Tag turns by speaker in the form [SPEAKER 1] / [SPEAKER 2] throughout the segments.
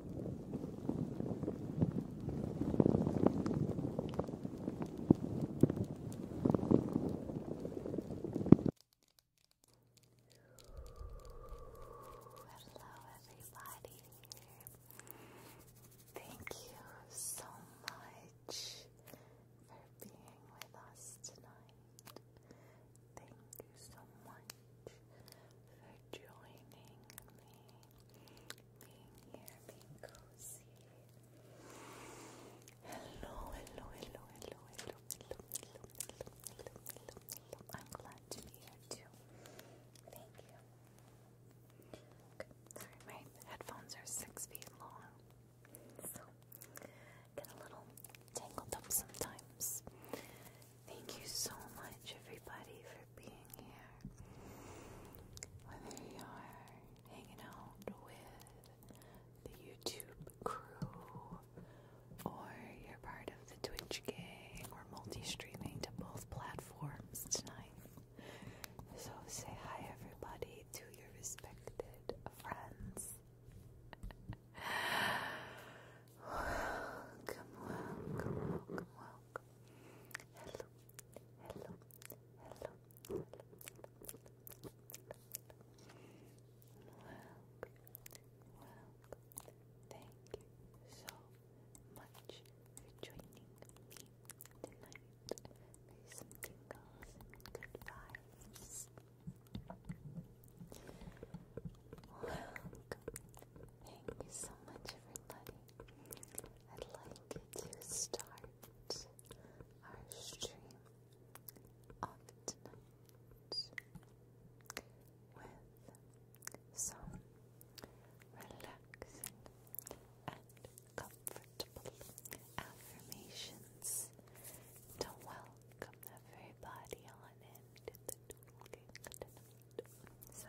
[SPEAKER 1] Hello, everybody. Thank you so much for being with us tonight. Thank you so much for joining me Hello, hello, hello, hello, hello, hello, hello, hello, hello, hello, I'm glad to be here too. Thank you. sorry, my headphones are six feet long, so get a little tangled up sometimes. Thank you so much, everybody, for being here. Whether you're hanging out with the YouTube crew or you're part of the Twitch gang or multi streaming to both platforms tonight. So say hi, everybody, to your respected friends. Welcome, welcome, welcome, welcome. Hello, hello, hello, hello. Welcome, welcome. Thank you so much for joining me tonight. Maybe good vibes. Welcome, Thank you so much, everybody. I'd like to start our stream of with some relaxing and comfortable affirmations to welcome everybody on into the doodling So,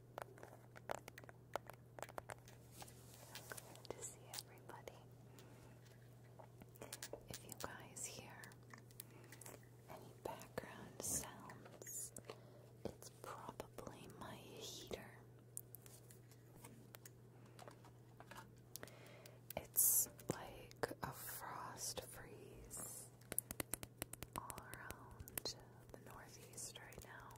[SPEAKER 1] to see everybody. If you guys hear any background sounds, it's probably my heater. It's like a frost freeze all around the northeast right now.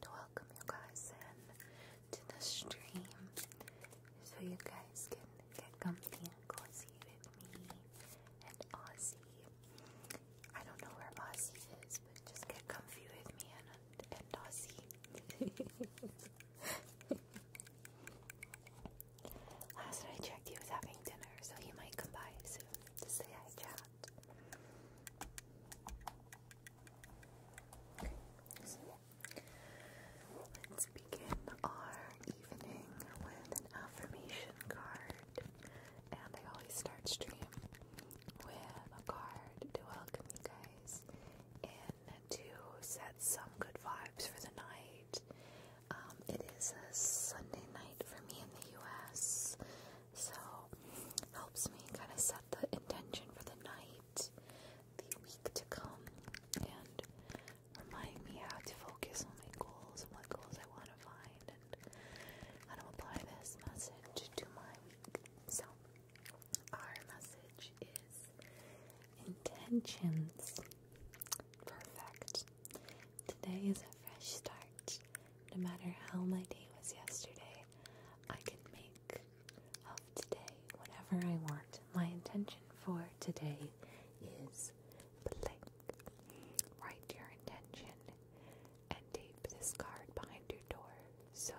[SPEAKER 1] to welcome you guys in to the stream so you guys can get comfy and cozy with me and Ozzy. I don't know where Ozzy is, but just get comfy with me and, and Ozzy. Last I checked, he was having dinner, so he might come by soon to say hi, chat let's begin our evening with an affirmation card. And I always start stream with a card to welcome you guys in to set some good vibes for the night. Um, it is a Sunday night for me in the US. So helps me kind of set the intention for the night, the week to come, and remind me how to focus on my goals and what goals I want to find and how to apply this message to my week. So our message is intentions. Perfect. Today is a fresh start. No matter how my day was yesterday, I can make of today, whatever I want. My intention for today is blank. Write your intention and tape this card behind your door so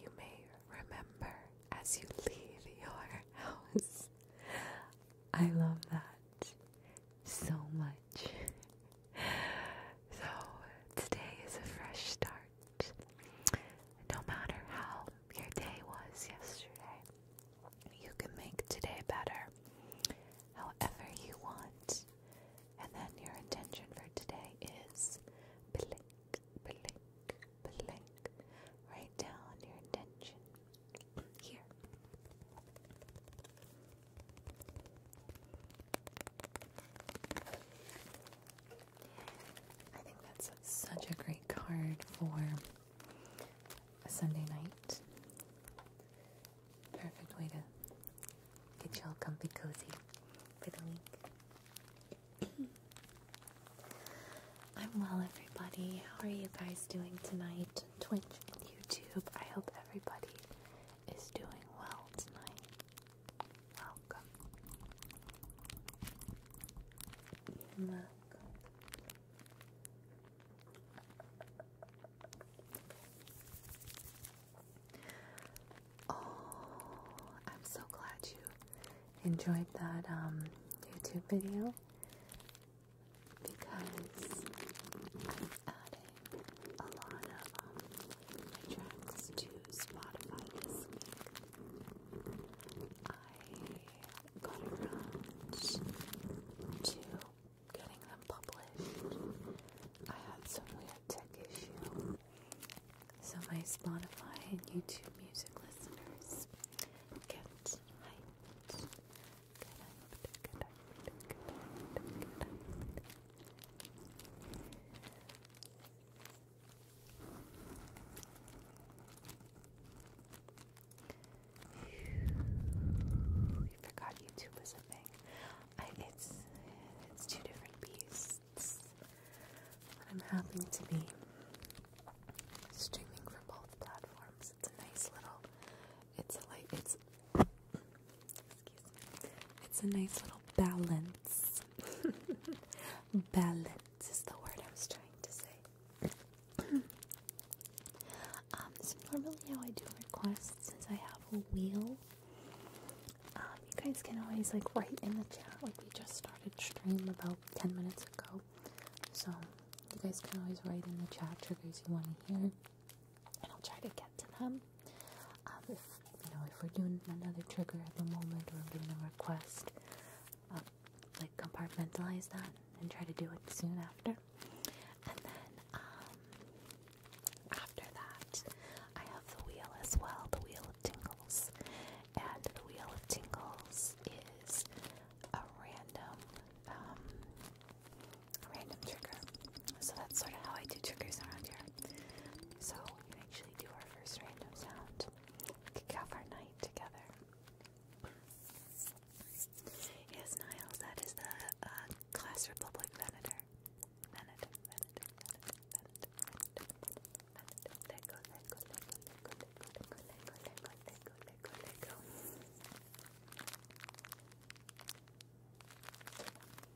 [SPEAKER 1] you may remember as you leave your house. I love that so much. so, today is a fresh start. No matter how your day was yesterday, you can make today better however you want. And then your intention for today is blink, blink, blink. Write down your intention here. I think that's such a great card for a Sunday night. Perfect way to get y'all comfy cozy for the week. I'm well, everybody. How are you guys doing tonight? Twitch, and YouTube. I hope everybody is doing well tonight. Welcome. Oh, I'm so glad you enjoyed that um, YouTube video because I'm adding a lot of um, my tracks to Spotify I got around to getting them published. I had some weird tech issue. So my Spotify and YouTube music listeners get hyped. You forgot YouTube was a it's it's two different beasts. I'm happy to be streaming for both platforms. It's a nice little. It's a light. it's. It's a nice little balance. balance is the word I was trying to say. um, so normally how I do requests since I have a wheel. Um, you guys can always like write in the chat like we just started stream about 10 minutes ago. So you guys can always write in the chat triggers you want to hear and I'll try to get to them. Um, if you know, if we're doing another trigger at the moment, or doing a request, um, like compartmentalize that and try to do it soon after. And then um, after that, I have the wheel as well, the wheel tingles, and the wheel tingles is a random, random trigger. So that's sort of how I do triggers around here. So actually do our first random sound. Kick off our night together. Yes, Niles, that is the uh, Class Republic Venator. Venator, Venator, Venator, Venator, Venator, Venator. Let go, let go, let go, let go, let go, let go, let go, let go, let go, let go, let go.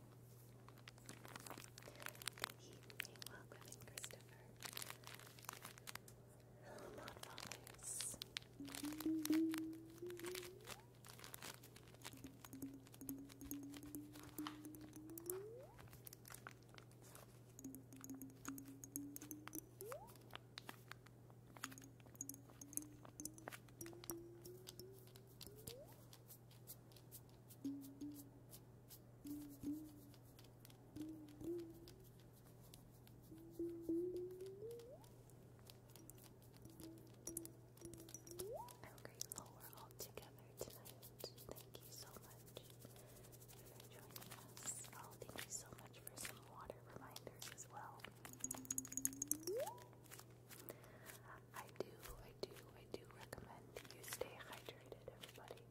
[SPEAKER 1] Good evening, welcome Christopher. Hello, Mod I'm grateful we're all together tonight. Thank you so much for joining us. Oh, thank you so much for some water reminders as well. I do, I do, I do recommend you stay hydrated, everybody.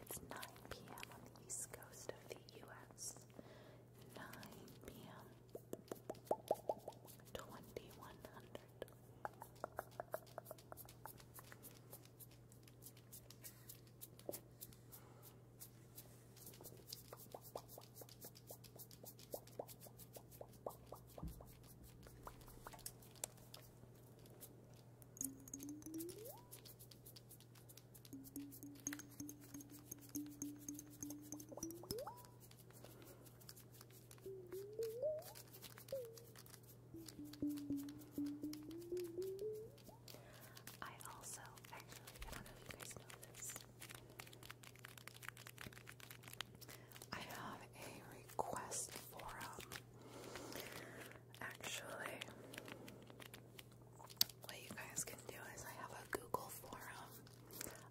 [SPEAKER 1] It's 9 p.m. on the east coast of the U.S. 9 p.m. 2100. I also actually, I don't know if you guys know this. I have a request forum Actually, what you guys can do is I have a Google forum.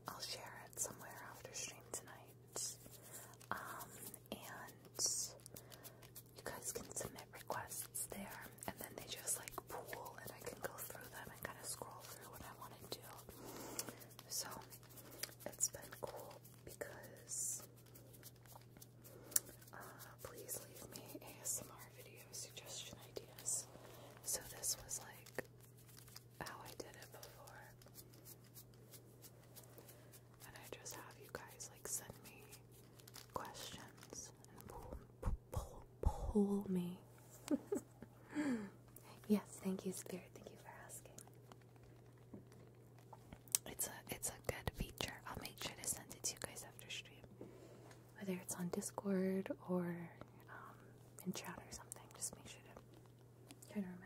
[SPEAKER 1] I'll share it somewhere after stream tonight. Um, and you guys can submit requests there, and then they just like pool, and I can go through them and kind of scroll through what I want to do. So it's been cool because uh, please leave me ASMR video suggestion ideas. So this was like how I did it before. And I just have you guys like send me questions and pull me. yes, thank you, Spirit. Thank you for asking. It's a it's a good feature. I'll make sure to send it to you guys after stream, whether it's on Discord or um, in chat or something. Just make sure to try to remember.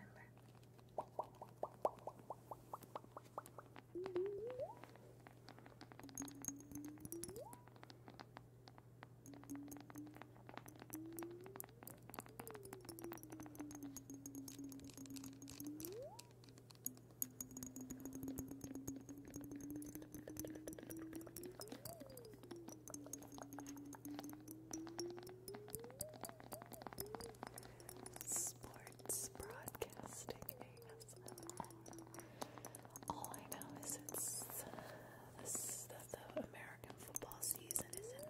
[SPEAKER 1] Sports broadcasting ASMR. All I know is it's uh, this, that the American football season is in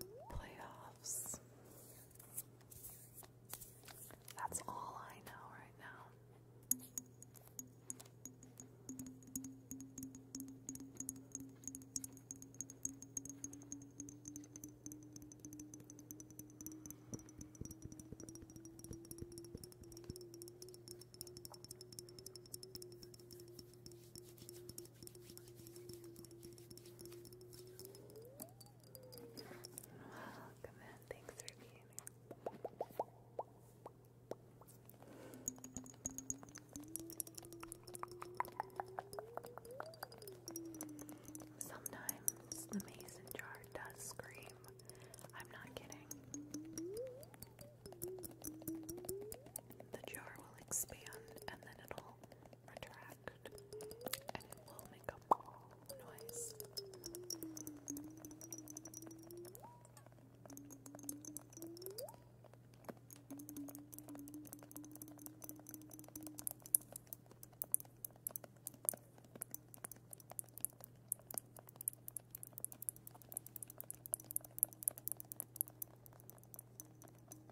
[SPEAKER 1] the playoffs. That's all I know right now. Welcome in. Thanks for being here. Sometimes the mason jar does scream. I'm not kidding. The jar will expand and then it'll retract and it will make a noise.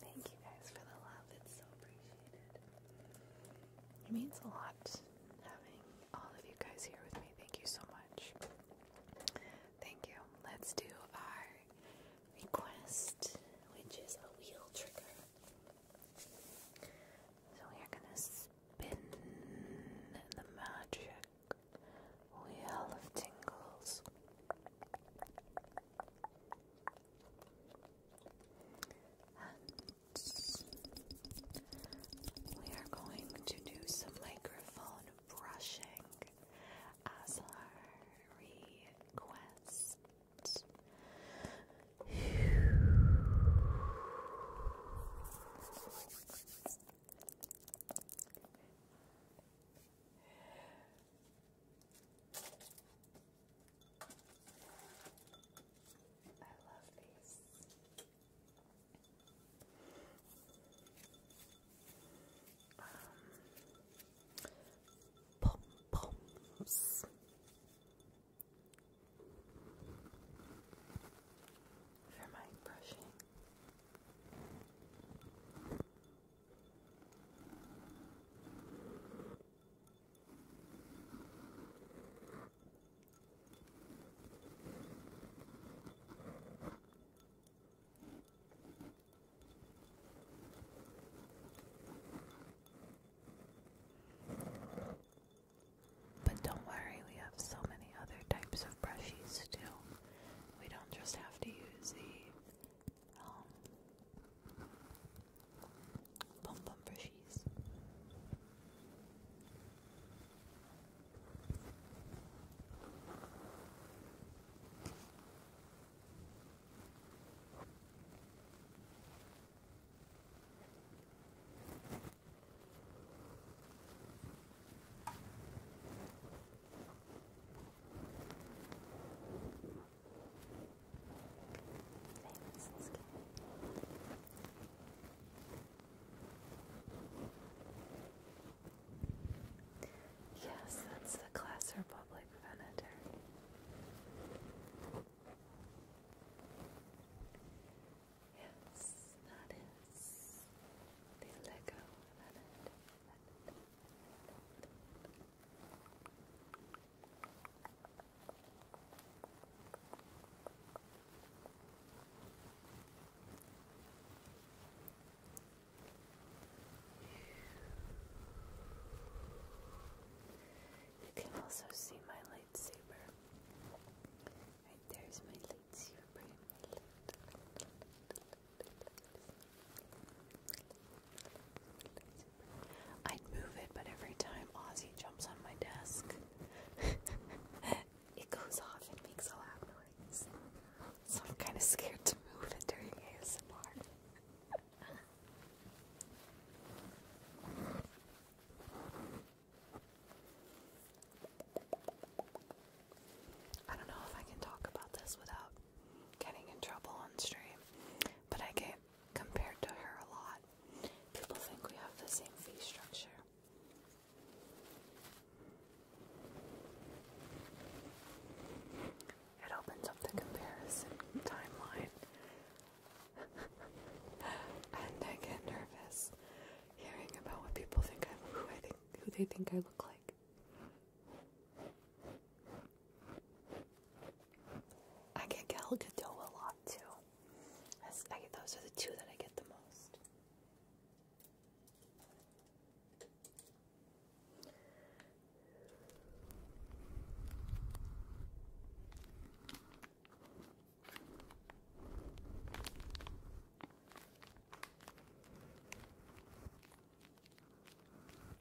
[SPEAKER 1] Thank you guys for the love. It's so appreciated. It means a lot having all of you guys here with me. Thank you so much. Thank you. Let's do our request, which is a wheel trigger. So we are gonna spin the magic wheel of tingles. And we are going to do some microphone brushing as our request. I love these. pom poms. For my brushing, but don't worry, we have so many other types of brushies too. We don't just have to use the um, Bum Bum Yes, that's the class Republic Venator. Yes, that is the Lego Venator. You can also see my lightsaber. Right there's my lightsaber. I'd move it, but every time Ozzy jumps on my desk, it goes off and makes a loud noise. So I'm kind of scared to move it during ASMR. I don't know if I can talk about this without getting in trouble on stream, but I get compared to her a lot. People think we have the same fee structure. It opens up the comparison timeline. and I get nervous hearing about what people think I who I think who they think I look like. I get Gal Gadot a lot too. those are the two that I get the most.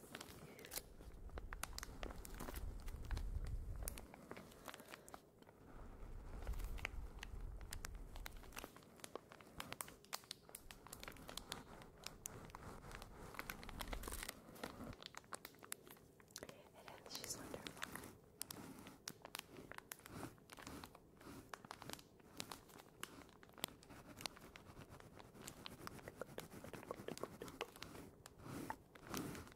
[SPEAKER 1] It is, she's wonderful. Good, good, good, good, good.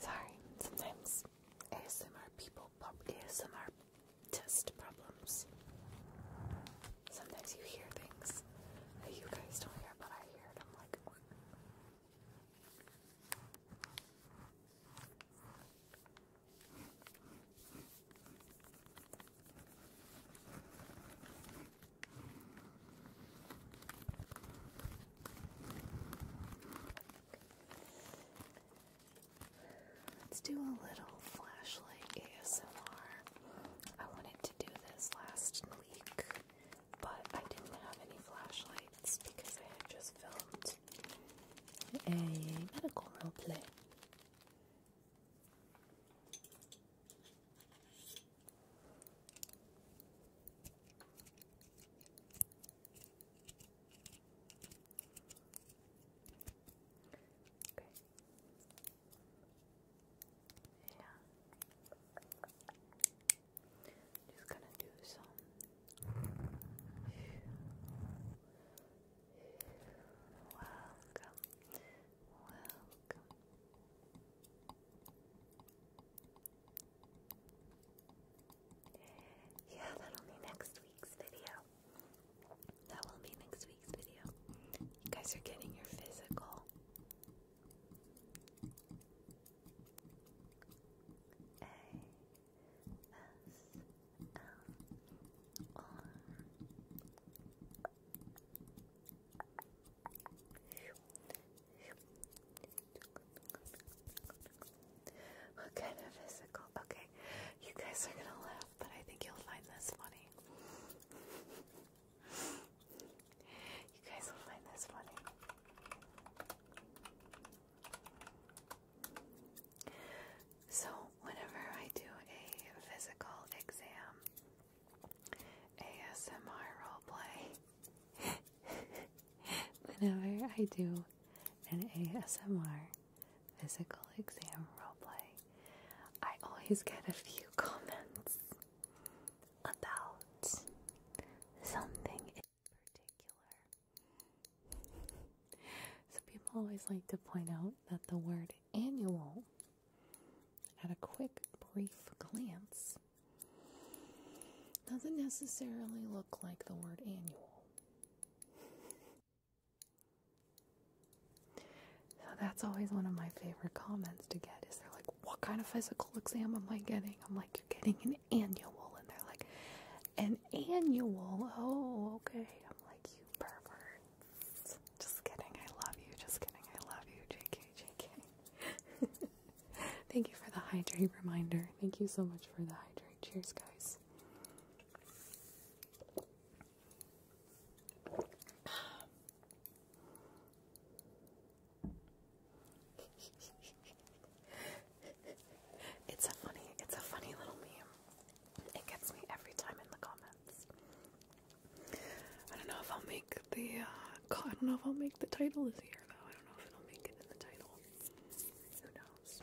[SPEAKER 1] Sorry, sometimes ASMR people ASMR test problems. Sometimes you hear things that you guys don't hear, but I hear it. I'm like, Let's do a little flashlight ASMR. I wanted to do this last week, but I didn't have any flashlights because I had just filmed a medical roleplay. Okay. Yeah. Just gonna do some welcome, welcome. Yeah, that'll be next week's video. That will be next week's video. You guys are getting your physical. What kind of physical? Okay, you guys are gonna laugh, but I think you'll find this funny. You guys will find this funny. So, whenever I do a physical exam ASMR roleplay, whenever I do an ASMR physical exam roleplay, I always get a few comments about something particular. Some people always like to point out that the word annual, at a quick, brief glance, doesn't necessarily look like the word annual. So that's always one of my favorite comments to get is they're like, What kind of physical exam am I getting? I'm like, You're getting an annual. And they're like, an annual? Oh, okay. I'm like, you perverts. Just kidding. I love you. Just kidding. I love you. JK, JK. Thank you for the hydrate reminder. Thank you so much for the hydrate. Cheers, guys. it's a funny, it's a funny little meme. It gets me every time in the comments. I don't know if I'll make the. Uh, I don't know if I'll make the title this year though. I don't know if it'll make it in the title. Who knows?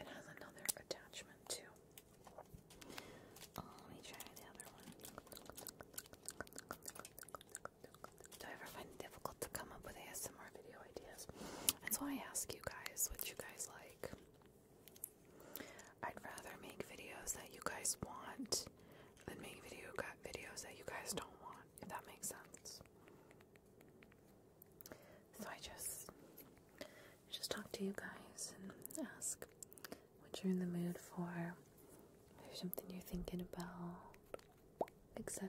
[SPEAKER 1] It has another attachment too. Oh, let me try the other one. Do I ever find it difficult to come up with ASMR video ideas? That's why I ask you guys what you guys like. I'd rather make videos that you guys want than make video videos that you guys don't want, if that makes sense. So I just just talk to you guys and ask what you're in the mood for, something you're thinking about, etc.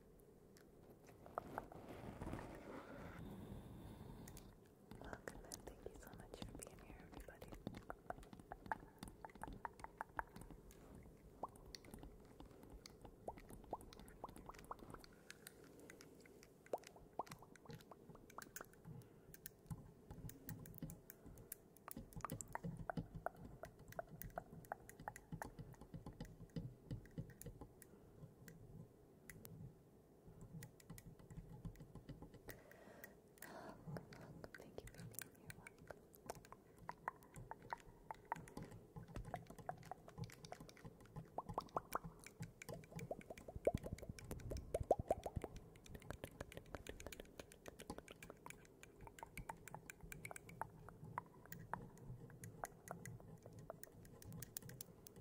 [SPEAKER 1] Welcome and thank you so much for being here, everybody. Hug, thank you for being here, Hug.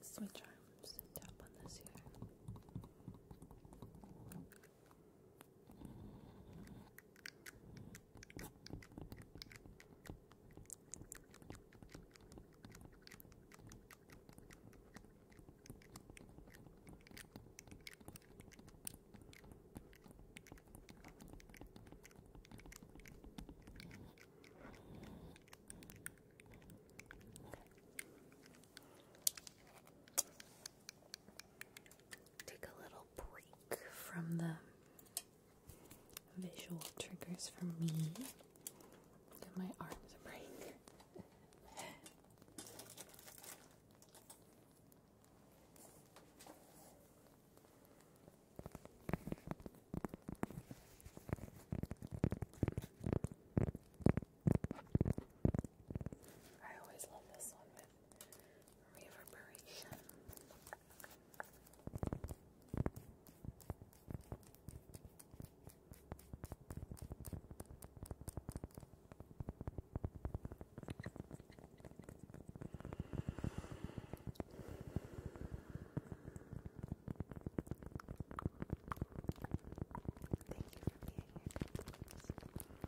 [SPEAKER 1] Switch arms and tap on this here. Good. Take a little break from the visual triggers for me. Give my arms a break. I always love this one reverberation. Thank you for being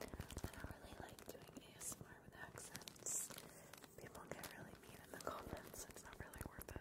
[SPEAKER 1] I don't really like doing ASMR with accents. People get really mean in the comments. It's not really worth it.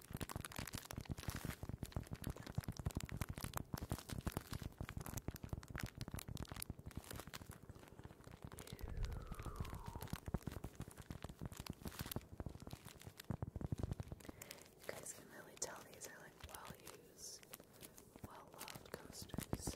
[SPEAKER 1] You guys can really tell these are like well used, well loved coasters.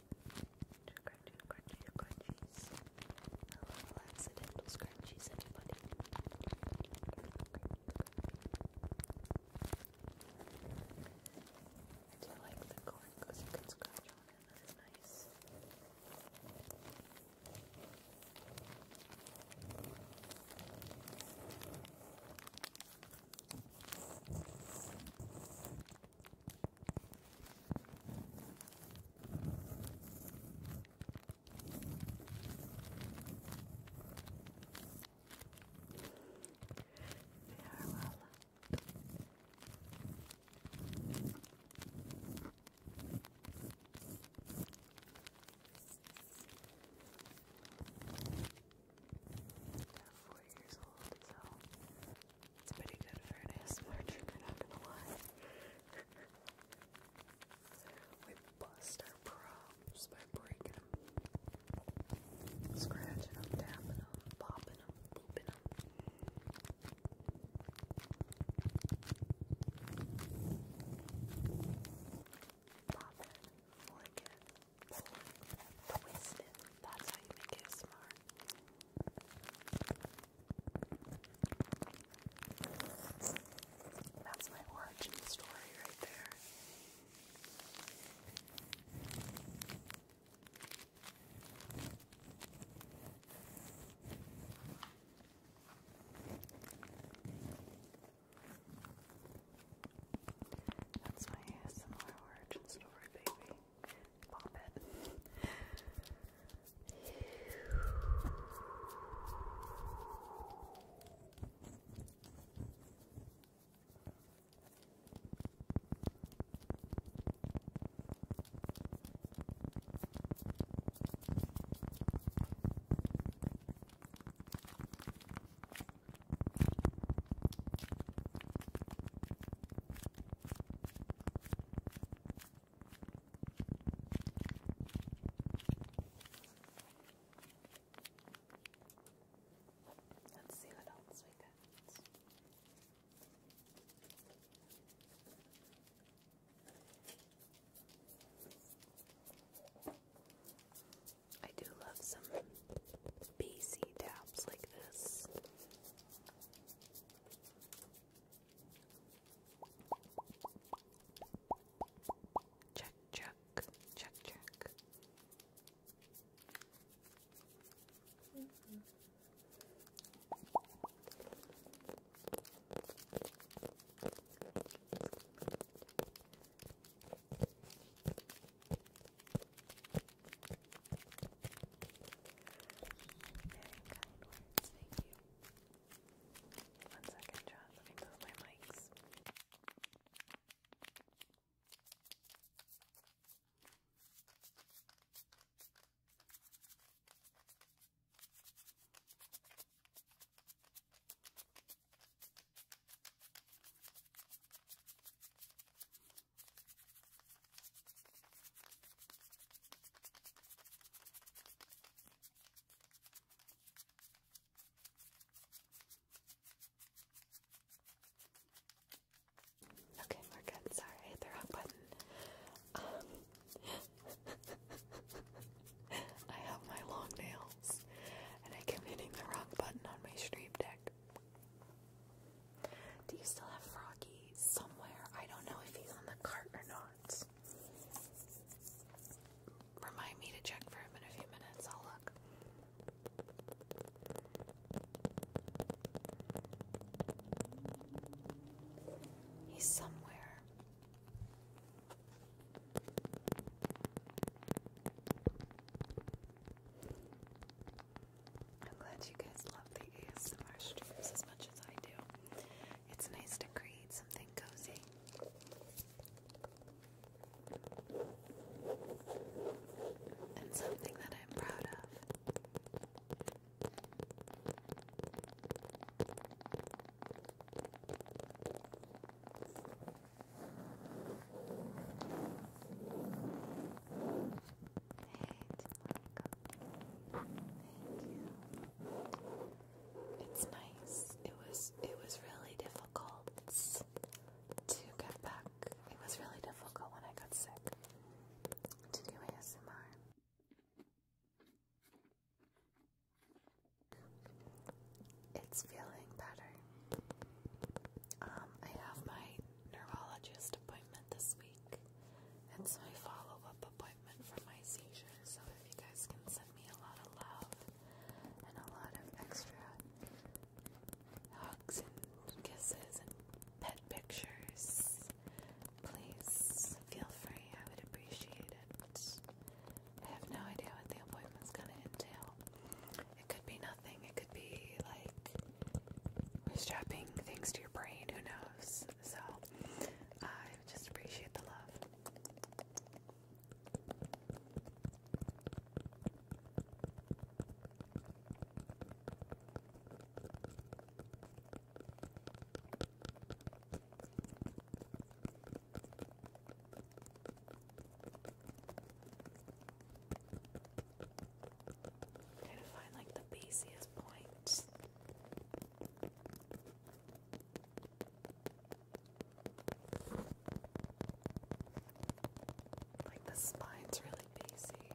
[SPEAKER 1] Scrunchies, scrunchies, scrunchies. A little accidental scrunchies, anybody? I do like the corn because you can scratch on it. That is nice. Farewell. they four years old, it's pretty good for we bust our props by breaking them, scratching them, tapping them, popping them, booping them. Pop it, lick it, That's how you make it smart. That's my origin story right there. That's my ASMR origin story, baby pop it. All Let's see what else we got. I do love some BC tabs like this. Check, check, check, check. Mm -hmm. Very kind words, thank you. One second, John, let me move my mics. Okay, we're good. Sorry, I the wrong button. Um, I have my long nails, and I kept hitting the wrong button on my stream deck. Do you still have Froggy somewhere? I don't know if he's on the cart or not. Remind me to check for him in a few minutes. I'll look. He's somewhere. I'm glad you guys love the ASMR streams as much as I do. It's nice to create something cozy. And something that I'm proud of. It's nice. It was it was really difficult to get back. It was really difficult when I got sick to do ASMR. It's feeling better. Um, I have my neurologist appointment this week. It's my follow up appointment for my seizure, so if you guys can send me a lot of love and a lot of extra hugs and kisses and pet pictures, please feel free. I would appreciate it. I have no idea what the appointment is gonna entail. It could be nothing, it could be like we strapping things to your brain, who knows? videos. So I just appreciate the love. Try to find like the easiest point like the spine's really busy.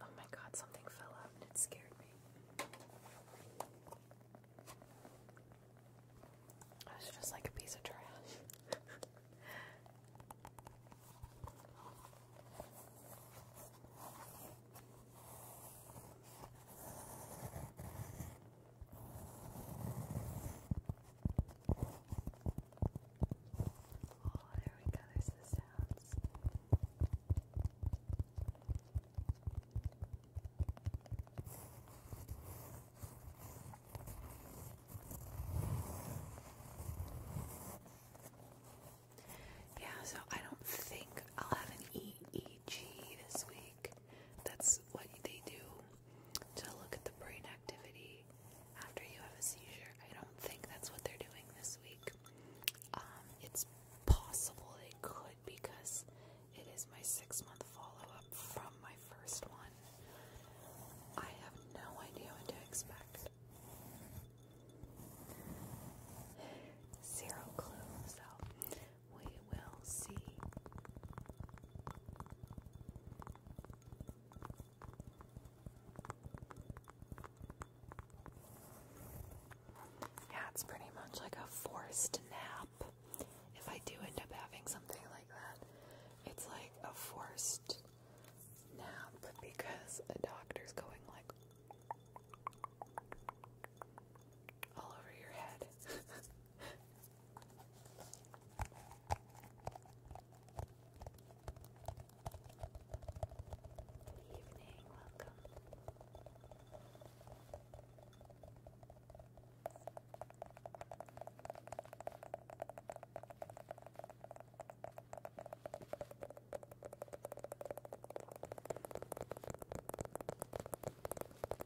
[SPEAKER 1] Oh my god, something fell out and it scared me. I was just like a piece of trash. Oh, there we go, there's the sounds. Yeah, so I don't think I'll have an EEG this week. That's what they do to look at the brain activity after you have a seizure. I don't think that's what they're doing this week. Um, it's possible they could because it is my six month follow up from my first one. I have no idea what to expect. Zero clue, so we will see. Yeah, it's pretty much like a forced nap. If I do end up having something like that, it's like a forced nap because a doctor's going like all over your head. Good evening, welcome.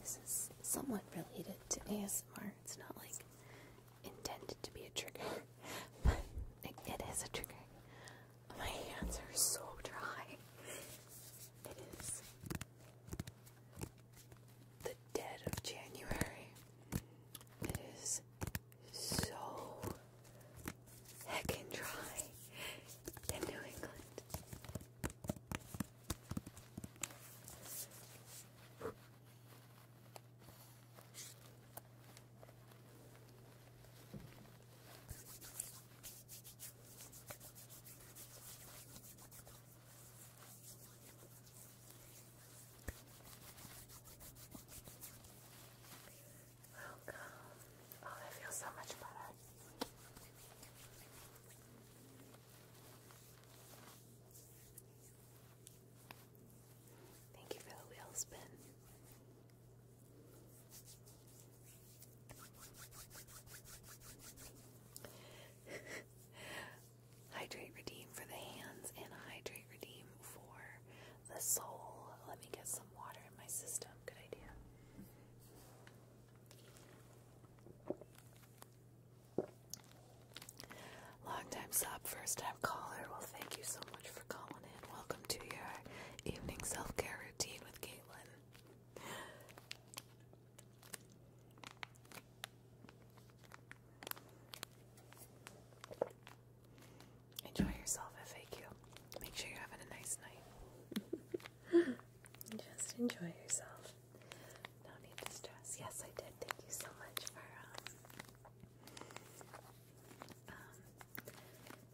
[SPEAKER 1] this is somewhat related to ASMR. It's not like intended to be a trigger, but it is a trigger. My hands are so dry. It is the dead of January. It is so heckin' dry in New England. Welcome. Oh, I feel so much better. Thank you for the wheel spin. hydrate redeem for the hands and hydrate redeem for the soul. Let me get some water in my system. Good idea. Long time sub, first time caller. Well, thank you so much for calling in. Welcome to your evening self care routine with Caitlin. Enjoy yourself, FAQ. Make sure you're having a nice night. Just enjoy yourself. No need to stress. Yes, I did. Thank you so much for um, um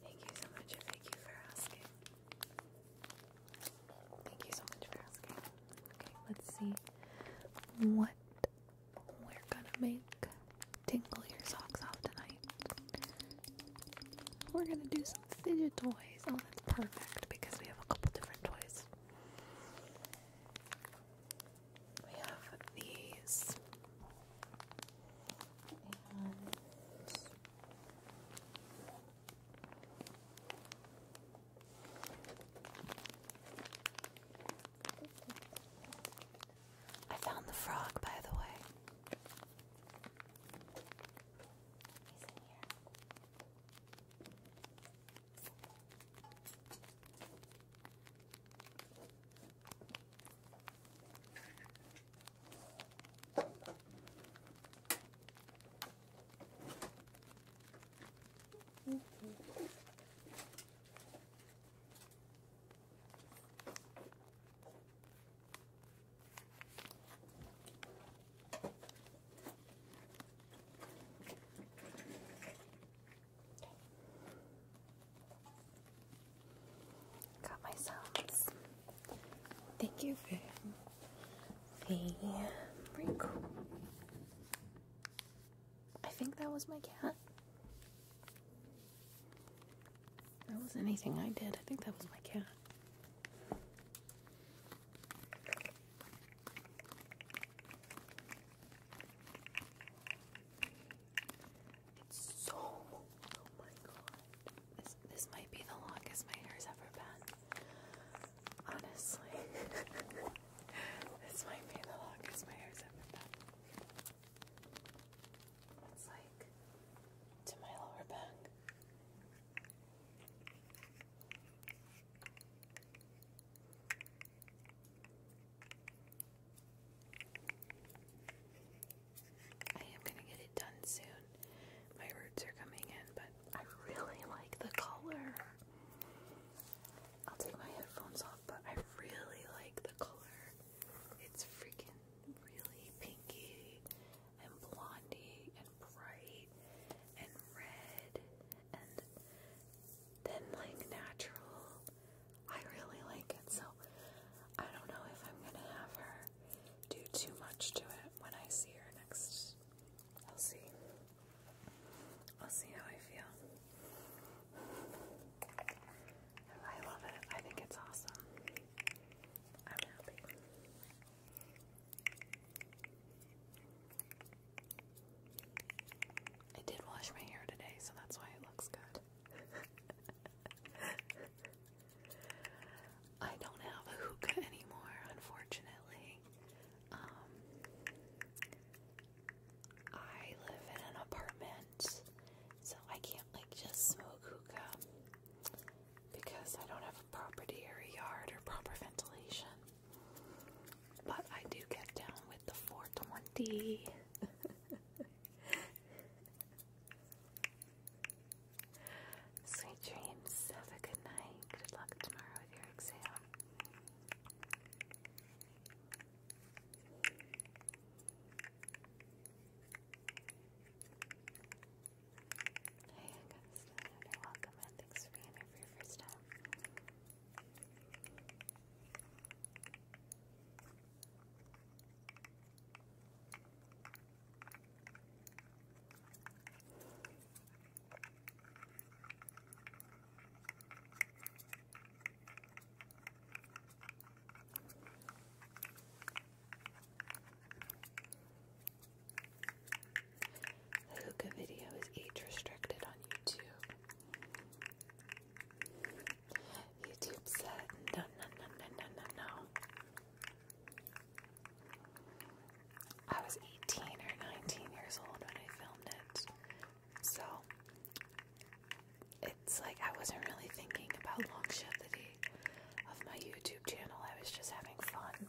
[SPEAKER 1] thank you so much, FAQ, for asking. Thank you so much for asking. Okay, let's see what we're gonna make tingle your socks off tonight. We're gonna do some fidget toys. Oh, that's perfect because we have a couple different toys. We have these. I found the frog, by the way. He's in here. Got my sounds. Thank you, the wrinkle. I think that was my cat. That was anything I did. I think that was my cat. It's so. Oh my god. This, this might be the longest my hair's ever been. Honestly, this might be the longest my hair's ever been. It's like to my lower back. I am gonna get it done soon. My roots are coming in, but I really like the color. I'll take my headphones off, but I really like the color. It's freaking really pinky and blondie and bright and red and then like natural. I really like it, so I don't know if I'm gonna have her do too much to it when I see her next, I'll see. I'll see how I feel. I love it. I think it's awesome. I'm happy. I did wash my hair today, so that's why it looks good. I don't have a hookah anymore, unfortunately. Um, I live in an apartment, so I can't like just smoke hookah because I don't have a property or yard or proper ventilation. But I do get down with the 420. Sweet dreams. Have a good night. Good luck tomorrow with your exam. Hey, Augustine. You're welcome, and thanks for your first time. The hookah video is age restricted on YouTube. YouTube said no, no, no, no, no, no, I was 18 or 19 years old when I filmed it. So it's like I wasn't really thinking about longevity of my YouTube channel. I was just having fun.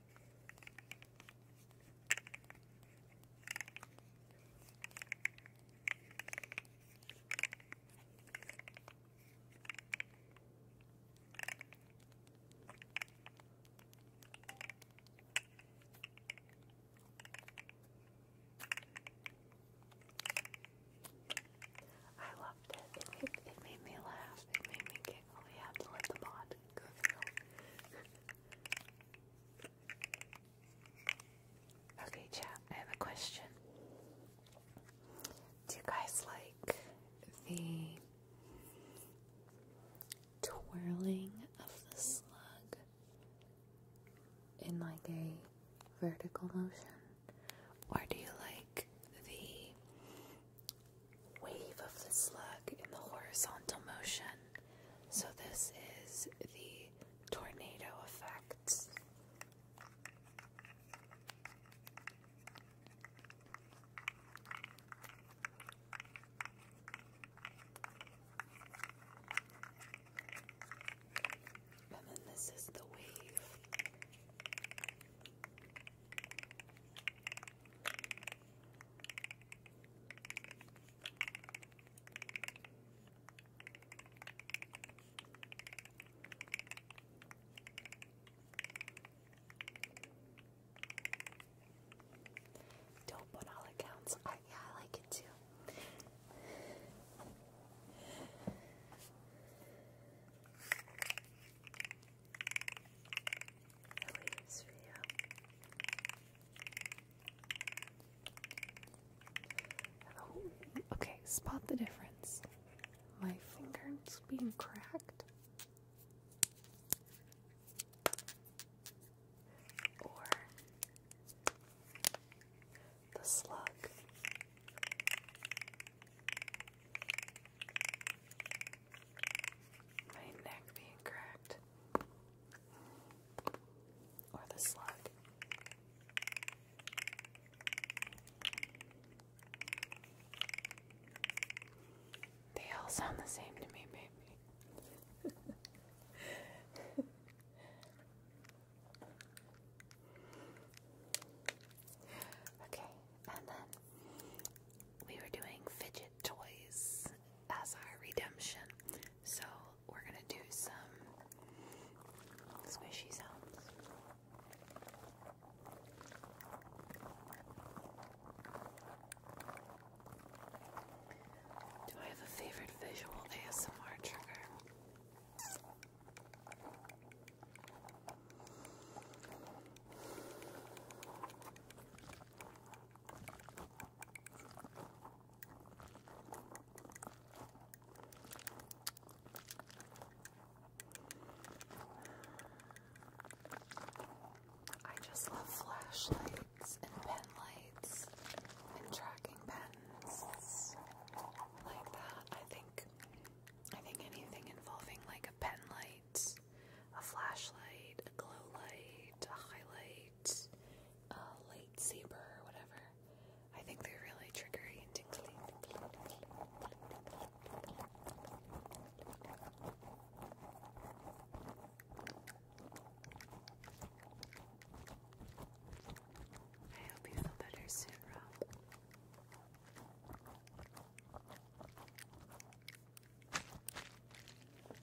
[SPEAKER 1] I loved it. It made, me laugh. It made me giggle. You have to let the bot go Okay, chat, I have a question. Do you guys like the twirling of the slug in like a vertical motion? Or do you like the wave of the slug in the horizontal motion so, this is the tornado effect. And then this is the wave. Dope on all accounts. I, yeah, I like it too. I like this video okay, spot the difference. My finger's being cracked. Or the slug. My neck being cracked. Or the slug. They all sound the same to me, baby. okay, and then we were doing fidget toys as our redemption. So we're gonna do some squishy sounds. Do I have a favorite visual ASMR trigger? I just love flashlights and pen lights and tracking pens like that. I think I think anything involving like a pen light, a flashlight, a glow light, a highlight light, uh, or whatever. I think they're really triggery and I hope you feel better soon, Rob.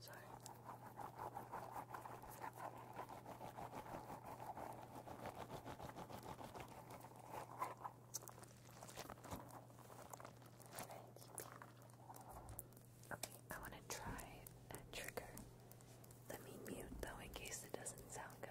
[SPEAKER 1] Sorry. Okay, I want to try that trigger. Let me mute though in case it doesn't sound good.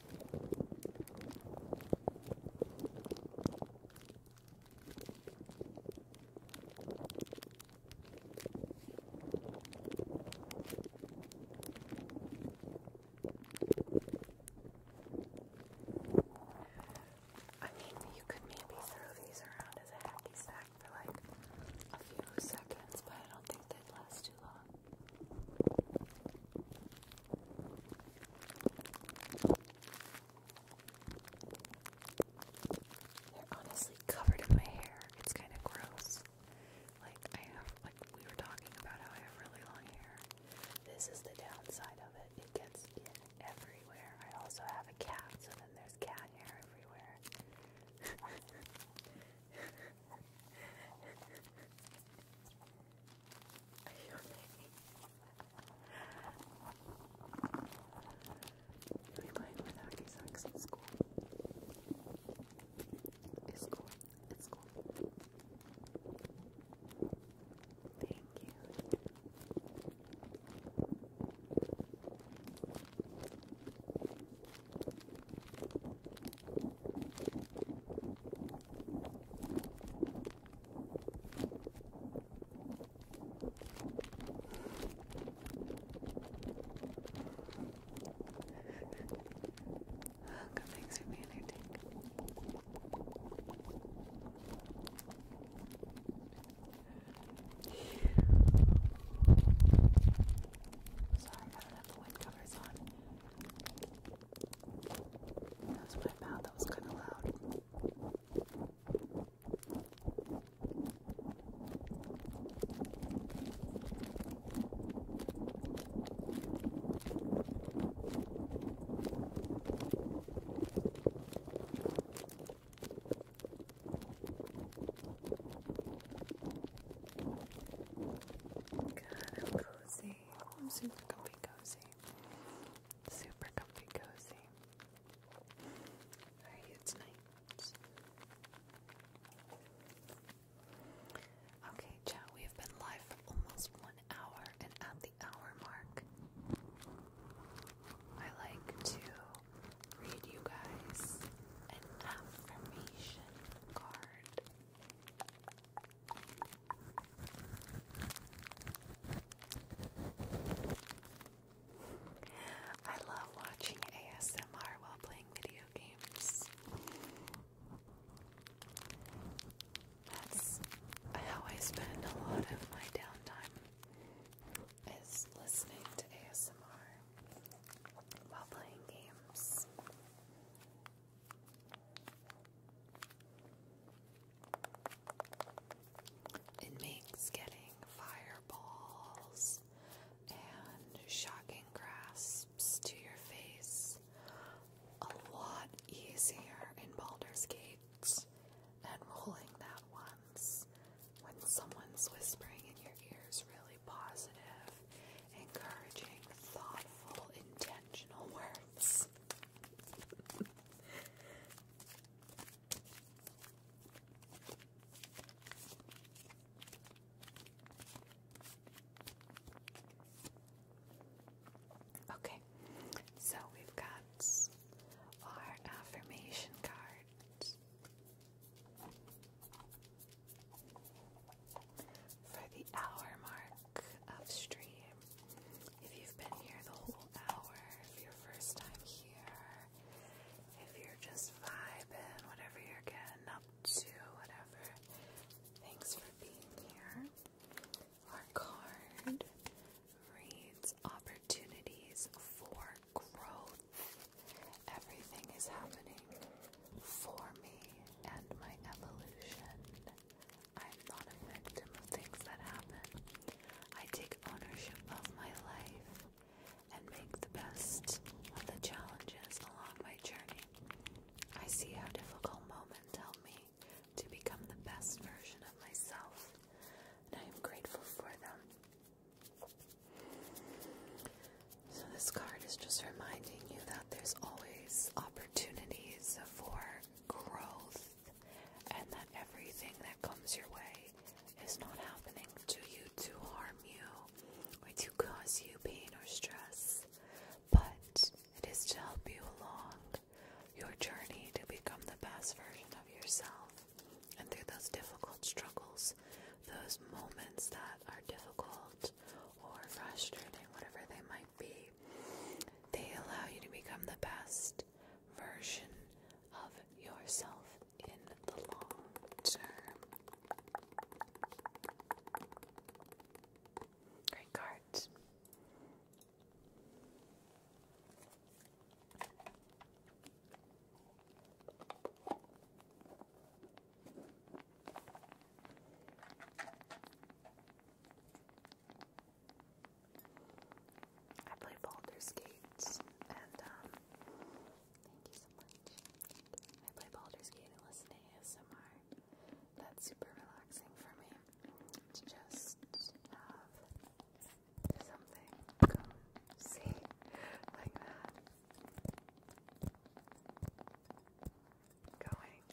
[SPEAKER 1] I mean, you could maybe throw these around as a hacky sack for like a few seconds, but I don't think they'd last too long. They're honestly covered in my hair. It's kind of gross. Like I have, like we were talking about how I have really long hair. This is the downside of it. It gets in everywhere. I also have a cat, so then there's cat hair everywhere. are You'll be playing with hockey socks at school. It's cool. It's cool. Thank you. Welcome, thanks for being here, Dick. Sorry, I don't have the wind covers on. That was my mouth, that was kind of loud. God, I'm cozy. I'm super comfy cozy. Super comfy cozy. How are you tonight? Okay, chat, we have been live for almost one hour and at the hour mark. I like to read you guys an affirmation card. I love watching ASMR while playing video games. That's how I spend a lot of my downtime is listening to ASMR while playing games. It makes getting fireballs and shocking grasps to your face a lot easier in Baldur's Gate than rolling that once. When someone's whispering in your ears really positive, encouraging, thoughtful, intentional words. Okay, so we've got our affirmation cards for the hour mark. Upstream. If you've been here the whole hour, if you're first time here, if you're just vibing, whatever you're getting up to, whatever, thanks for being here. Our card reads Opportunities for Growth. Everything is happening for me and my evolution. I am not a victim of things that happen. I take ownership of my life and make the best of the challenges along my journey. I see how difficult moments help me to become the best version of myself, and I am grateful for them. So, this card is just reminding you that there's always opportunities for growth and that everything that comes your way is not happening to you to harm you or to cause you pain or stress, but it is to help you along your journey to become the best version of yourself. And through those difficult struggles, those moments that are difficult or frustrating, whatever they might be, they allow you to become the best version of yourself in the long term. Great cards. I play Baldur's Gate and um thank you so much. I play Baldur's Gate and listen to ASMR. That's super relaxing for me to just have something come see like that. Going.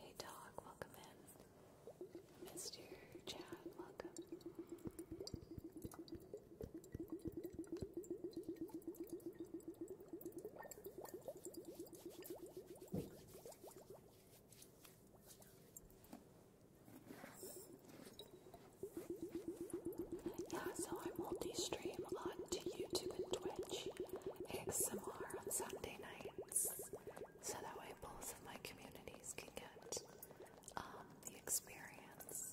[SPEAKER 1] Hey dog, welcome in. Mr. Chad, welcome. Yeah, so I multi-stream onto YouTube and Twitch ASMR on Sunday nights, so that way both of my communities can get um, the experience.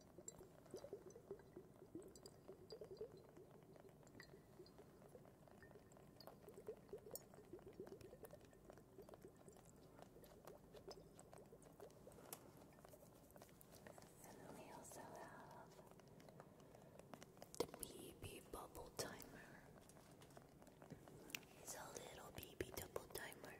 [SPEAKER 1] And we also have the BB bubble timer. It's a little BB double timer.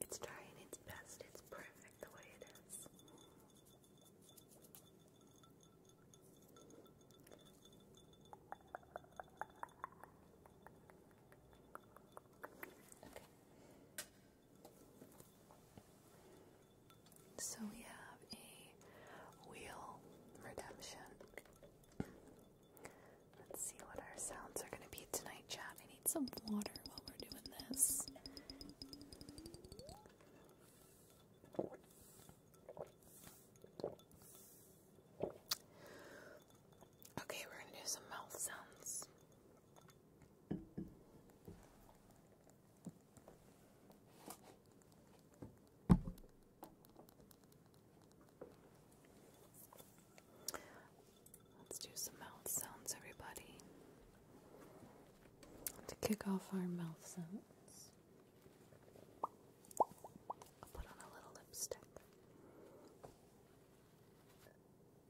[SPEAKER 1] It's trying its best. It's perfect the way it is. So we have a wheel redemption. Let's see what our sounds are going to be tonight, chat. I need some water while we're doing this. Okay, we're going to do some mouth sounds. Let's do some mouth sounds, everybody, to kick off our mouth sounds. I'll put on a little lipstick.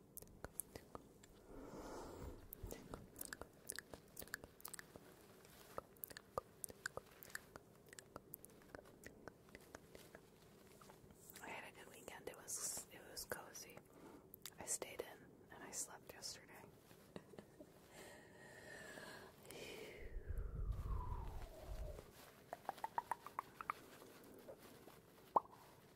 [SPEAKER 1] I had a good weekend. It was it was cozy. I stayed in and I slept yesterday.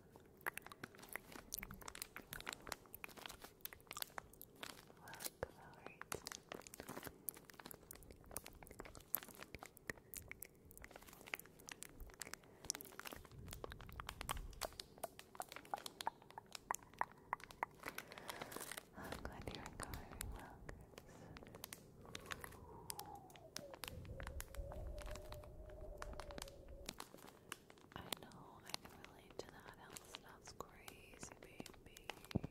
[SPEAKER 1] I'm glad you're recovering well, Chris. I know I can relate to that. Hell, crazy, baby.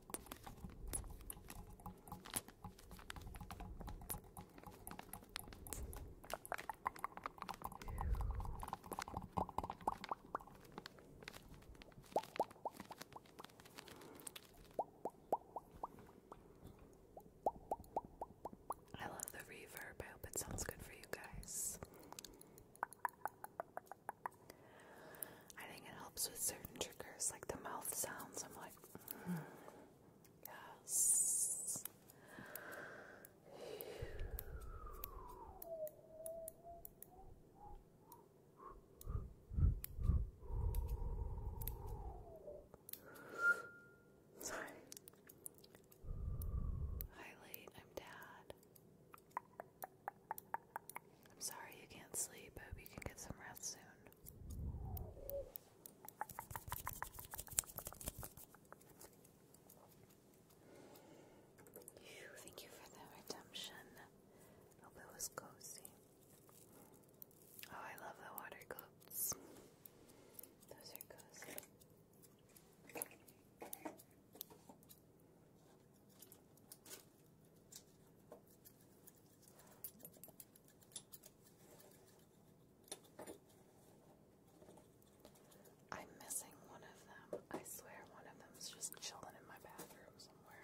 [SPEAKER 1] I love the reverb. I hope it sounds good for you guys. I think it helps with certain triggers, like the mouth sounds. I'm like, hmm, yes. Sorry. Hi, late. I'm Dad. I'm sorry you can't sleep. I hope you can get some rest soon. thank you for the redemption. Hope it was cozy. Oh, I love the water gloves. Those are cozy. I'm missing one of them. I swear one of them's just chilling in my bathroom somewhere.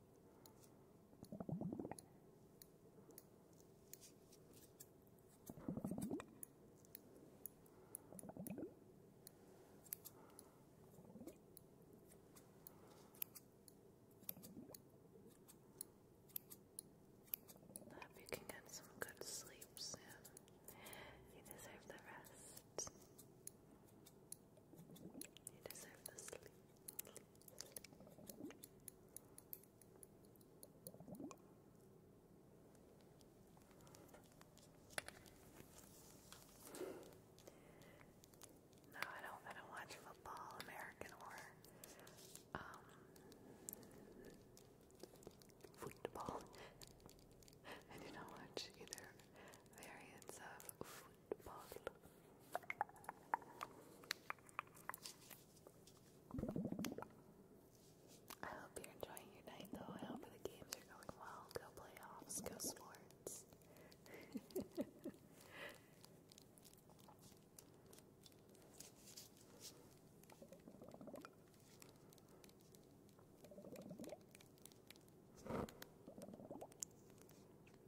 [SPEAKER 1] I hope you can get some good sleep soon. You deserve the rest. You No, I don't. I do watch football, American or um, football. I do not watch either variants of I hope you're enjoying your night, though. I hope the games are going well. Go playoffs, go sports.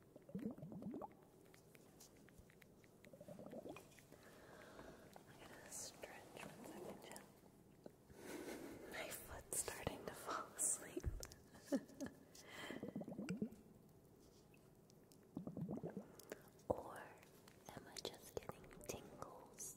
[SPEAKER 1] I'm gonna stretch one second, Jill. My foot's starting to fall asleep. or am I just getting tingles?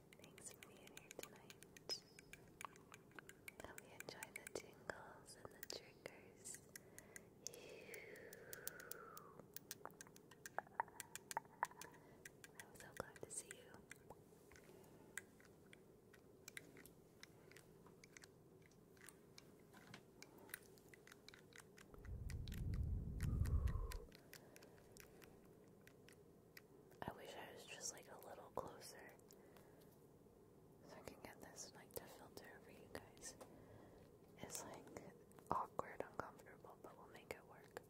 [SPEAKER 1] Thanks for being here tonight. Hope you enjoy the tingles and the triggers. I'm so glad to see you. I wish I was just like a little closer so I can get this like to filter for you guys. It's like awkward, uncomfortable, but we'll make it work. Okay.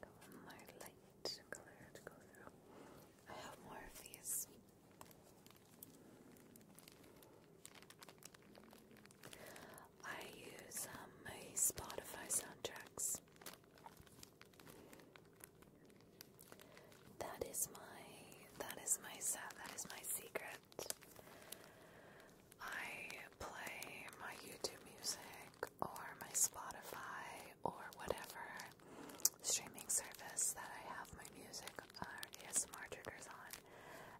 [SPEAKER 1] Go my light color go through. I have more of these. I use um, my Spotify soundtracks. That is my that is my That is my secret. I play my YouTube music or my Spotify or whatever streaming service that I have my music or uh, ASMR triggers on,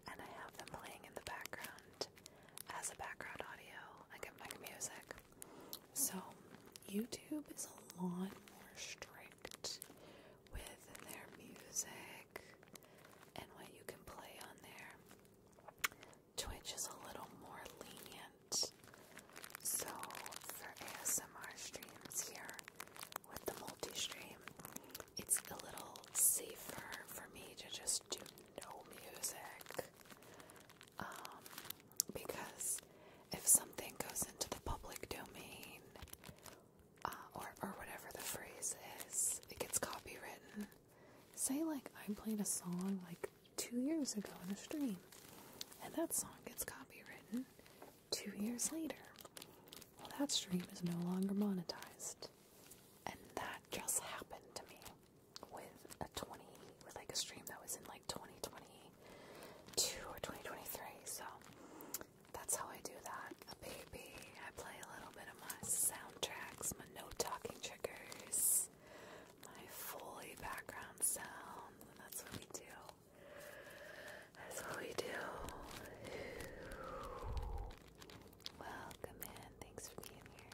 [SPEAKER 1] and I have them playing in the background as a background audio, like at my music. So, YouTube is a lot more strict with their music and what you can play on there. Twitch is a little more lenient. So, for ASMR streams here with the multi stream, it's a little safer for me to just do no music. Um, because if something goes into the public domain, uh, or, or whatever the phrase is, it gets copywritten. Say, like, I played a song like two years ago in a stream, and that song gets copywritten two years later. Well, that stream is no longer monetized, and that just happened to me with a 20, with like a stream that was in like 2022 or 2023. So that's how I do that baby. I play a little bit of my soundtracks, my no talking triggers, my fully background sound. That's what we do. That's what we do. Welcome in. Thanks for being here.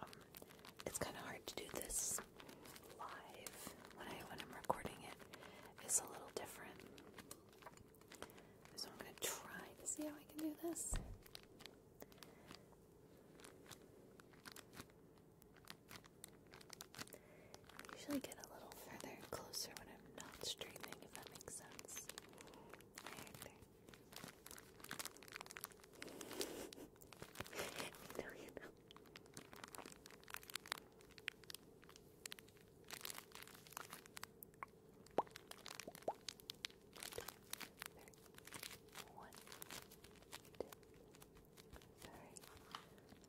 [SPEAKER 1] Um, it's kind of hard to do this live when I when I'm recording it. It's a little different, so I'm gonna try to see how I can do this. I usually get a little further closer when I'm not streaming, if that makes sense. Right you know, you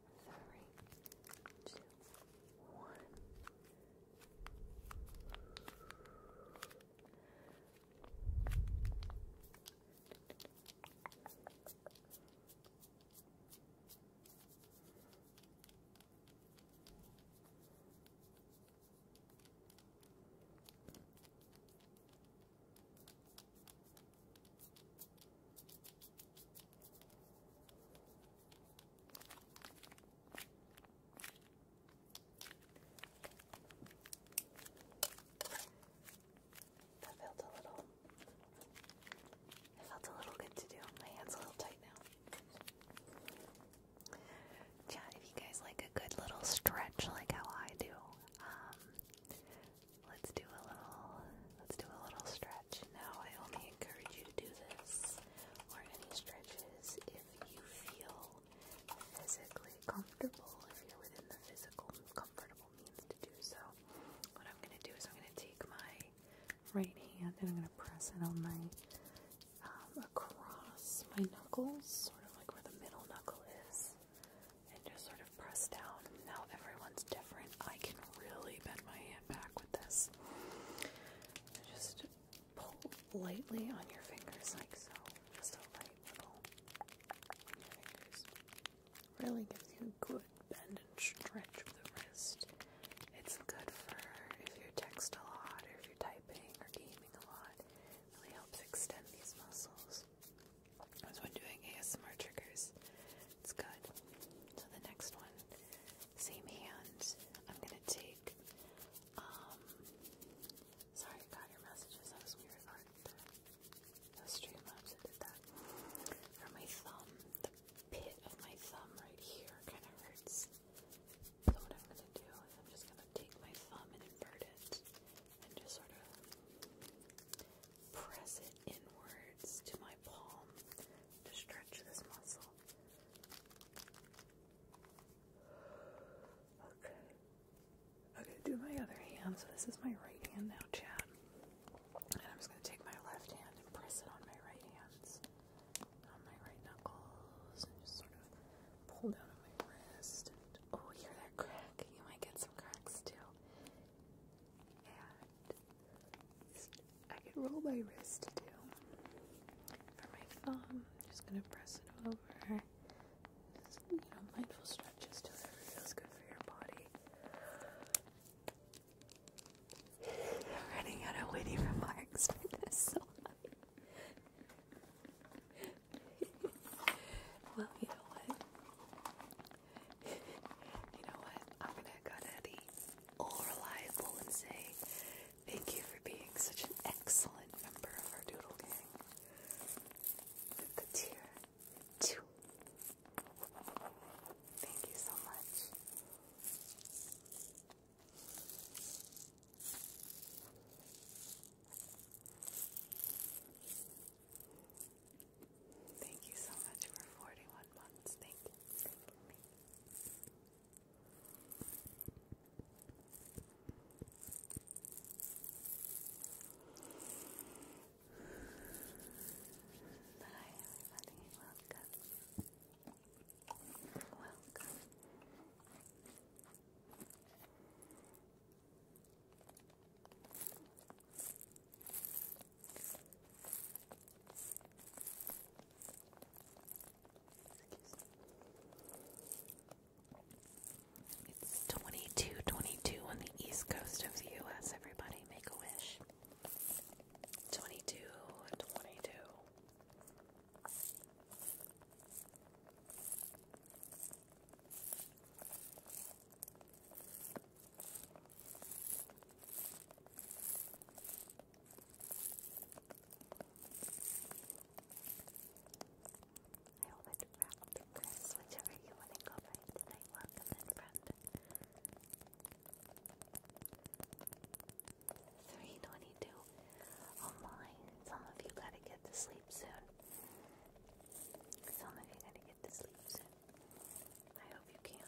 [SPEAKER 1] three, two, one. Good. I felt a little. It felt a little good to do. My hand's a little tight now. Chat, if you guys like a good little stretch like how I do, um, let's do a little. Let's do a little stretch. Now I only encourage you to do this or any stretches if you feel physically comfortable, if you're within the physical comfortable means to do so. What I'm going to do is I'm going to take my right hand and I'm going to press it on my um, across my knuckles, sort of like where the middle knuckle is, and just sort of press down. Now everyone's different. I can really bend my hand back with this just pull lightly on your fingers like so. Really gives you good bend and stretch of the wrist. It's good for if you text a lot or if you're typing or gaming a lot. It really helps extend these muscles. That's when doing ASMR triggers. It's good. So the next one same hand, I'm gonna take, um, sorry I got your messages, that was weird, aren't there? That was did that. For my thumb, the pit of my thumb right here kind of hurts. So what I'm gonna do is I'm just gonna take my thumb and invert it, and just sort of press it inwards to my palm to stretch this muscle. Okay. Okay, do my other hand. So this is my right hand now, Chad. And I'm just going to take my left hand and press it on my right hand, On my right knuckles. And just sort of pull down on my wrist. And, oh, hear that crack? You might get some cracks too. And I can roll my wrist too. For my thumb, I'm just gonna press it over. you know, mindful stretches to whatever feels good for your body. running out of witty remarks for this. So well, you know what? You know what? I'm gonna go to all reliable and say Thank you for being such an excellent member of our Doodle Gang. the tier two. Thank you so much. Thank you so much for 41 months. Thank you. Hi everybody, welcome. Welcome. It's 2222 on the east coast of the US. Everybody make a wish. 22 22. I will let wrap the press, whichever you want to go by tonight. Welcome in 322. Oh some of you gotta get to sleep soon. Some of you gotta get to sleep soon. I hope you can.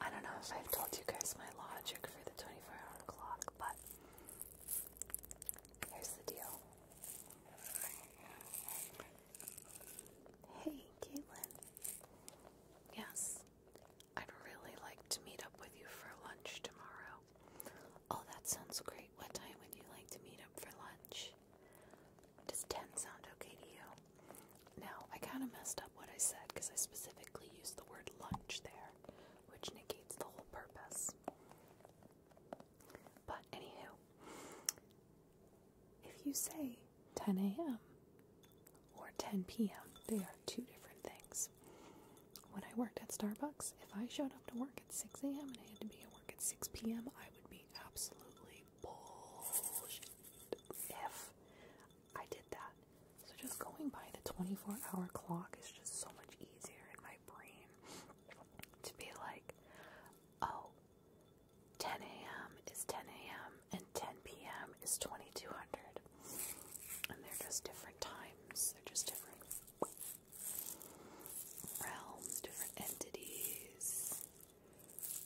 [SPEAKER 1] I don't know if I've told you guys my logic for the 24 hour clock, but here's the deal. Hey, Caitlin. Yes, I'd really like to meet up with you for lunch tomorrow. Oh, that sounds great. What time would you like to meet up for lunch? Does 10 sound okay to you? Now, I kind of messed up what I said because I specifically used the word lunch there, which negates the whole purpose. But, anywho, if you say 10 a.m. or 10 p.m., they are two different things. When I worked at Starbucks, if I showed up to work at 6 a.m. and I had to be at work at 6 p.m., I would be absolutely bullshit if I did that. So just going by the 24 hour clock is just so much easier in my brain to be like, oh, a.m. is 10 a.m. and 10 p.m. is 2200. And they're just different times, they're just different realms, different entities.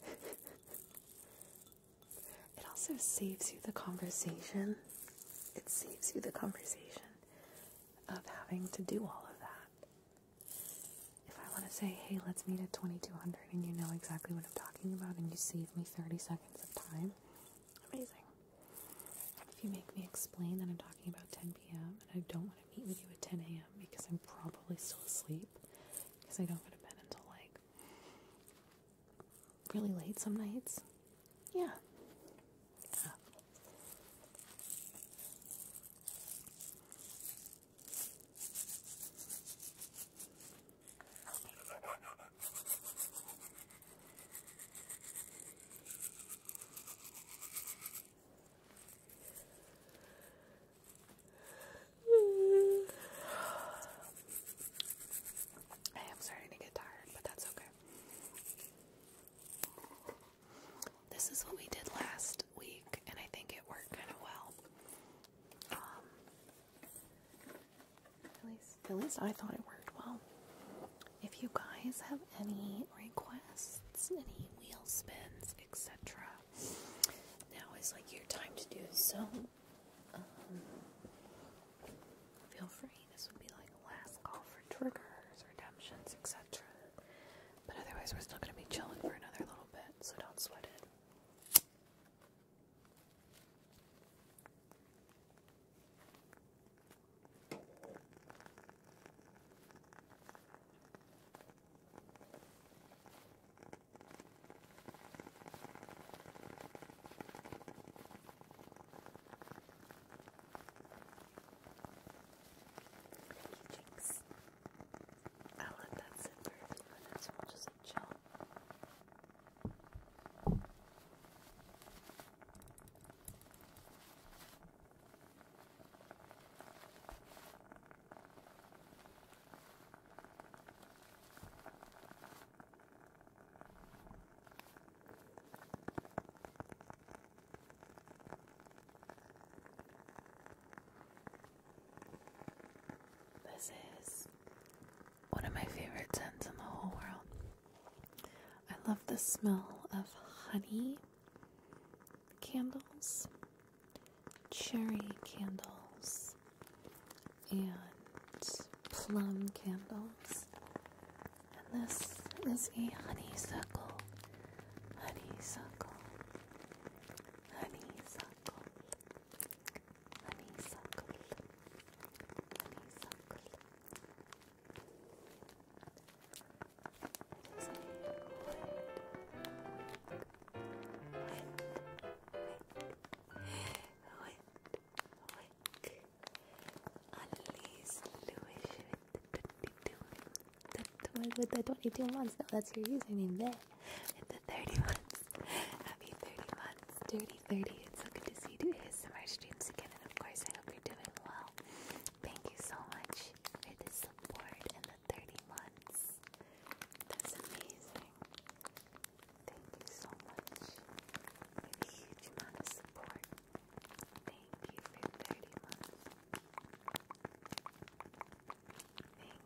[SPEAKER 1] It also saves you the conversation. It saves you the conversation of having to do all of that. If I want to say, hey, let's meet at 2200 and you know exactly what I'm talking about and you save me 30 seconds of time, amazing. If you make me explain that I'm talking about 10 p.m. and I don't want to meet with you at 10 a.m. because I'm probably still asleep because I don't go to bed until like really late some nights. Yeah. I am starting to get tired, but that's okay. This is what we did last week, and I think it worked kind of well. Um, at least, at least I thought it worked well. If you guys have any requests, any wheel spins, etc., now is like your time to do so. Um, feel free. This would be like last call for triggers, redemptions, etc. But otherwise, we're still going to be chilling for another little bit, so don't sweat it. Jinx. I'll let that sit for a few minutes. We'll just chill. Okay. This is one of my favorite scents in the whole world. I love the smell of honey candles, cherry candles, and plum candles. And this is a honeysuckle. Honeysuckle. Honeysuckle. Honeysuckle. Honeysuckle. It is a wet, wet, wet, wet, like Annalise Lewis with the 22 months. No, that's your username there. And the 30 months. Happy 30 months. Dirty It's so good to see you do ASMR streams again. And of course, I hope you're doing well. Thank you so much for the support and the 30 months. That's amazing. Thank you so much for huge amount of support. Thank you for 30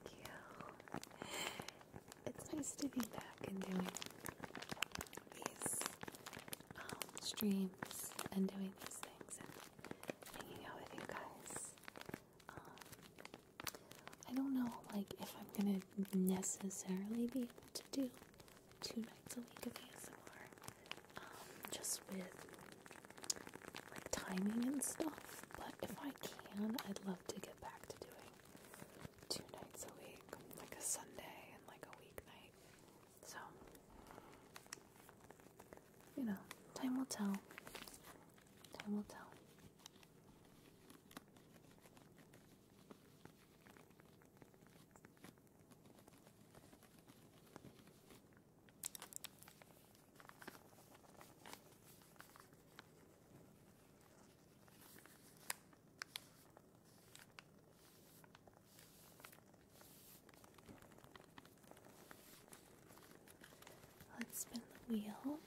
[SPEAKER 1] Thank you. It's nice to be back and doing these um, streams and doing these things and hanging out with you guys. Um, I don't know, like, if I'm gonna necessarily be able to do two nights a week of ASMR, just with like timing and stuff. But if I can, I'd love to get back to doing two nights a week, like a Sunday and like a weeknight. So, you know, time will tell. Time will tell. Let's spin the wheel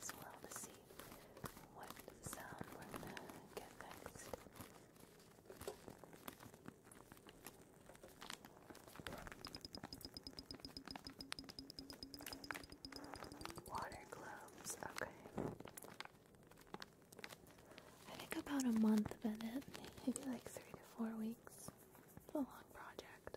[SPEAKER 1] as well to see what sound we're going to get next. Water globes, okay. I think about a month of it, maybe like three to four weeks. It's a long project.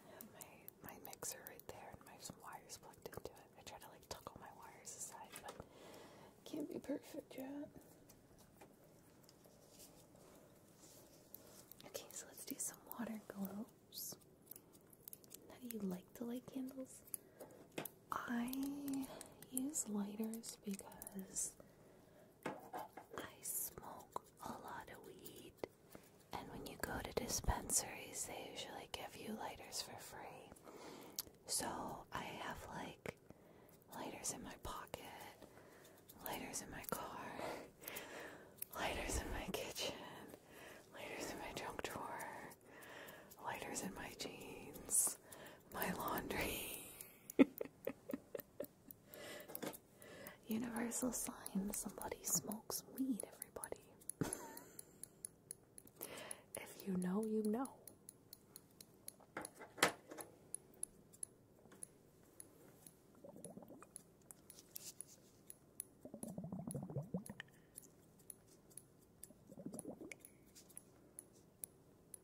[SPEAKER 1] I have my, my mixer right there and my some wires plugged into it. I try to like tuck all my wires aside, but can't be perfect yet. Okay, so let's do some water globes. Now, do you like to light candles? I use lighters because I smoke a lot of weed, and when you go to dispensaries, they usually give you lighters for free. So I have like lighters in my pocket, lighters in my car, lighters in my kitchen, lighters in my trunk drawer, lighters in my jeans my laundry. Universal sign somebody smokes weed, everybody. if you know, you know. I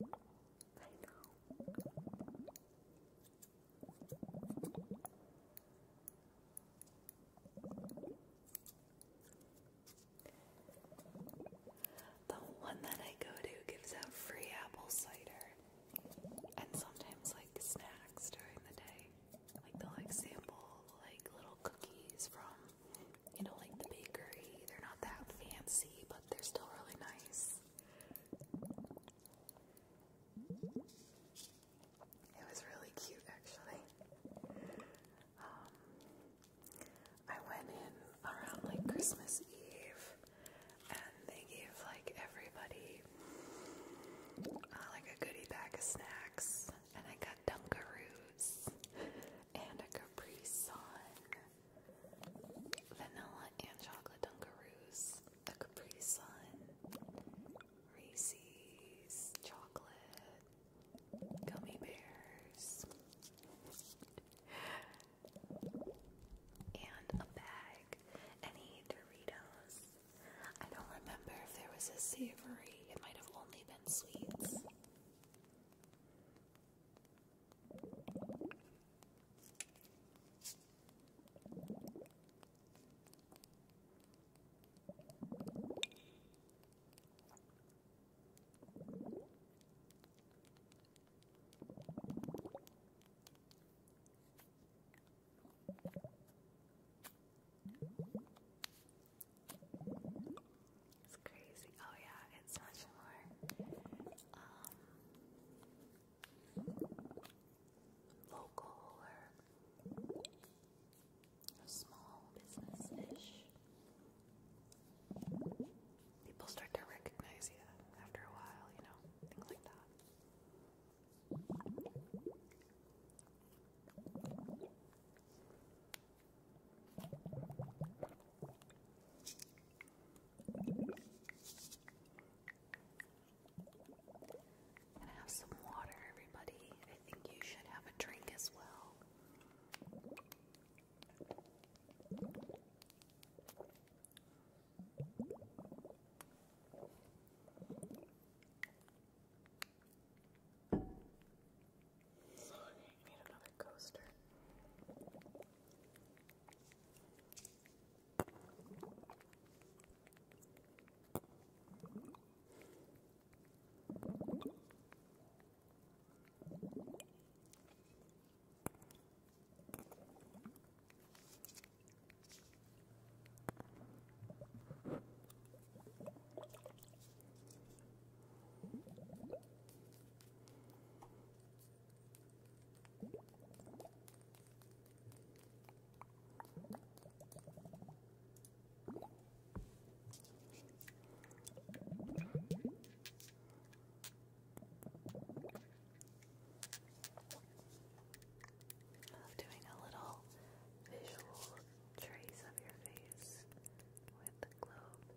[SPEAKER 1] know. The one that I go to gives out free apple cider and sometimes like snacks during the day like they'll like sample like little cookies from you know like the bakery. They're not that fancy, but they're still really nice. It was really cute actually. Um, I went in around like Christmas Eve and they gave like everybody uh, like a goodie bag of snacks and I got Dunkaroos and a Capri Sun, vanilla and chocolate Dunkaroos, a Capri Sun, Reese's chocolate, gummy bears, and a bag, any Doritos. I don't remember if there was a savory. It might have only been been sweets. It's crazy. Oh yeah, it's much more um, local or small business-ish. People start to recognize you after a while, you know, things like that. And have some water, everybody. I think you should have a drink as well. Oh, I need another coaster. I love doing a little visual Traces of your face with the globe.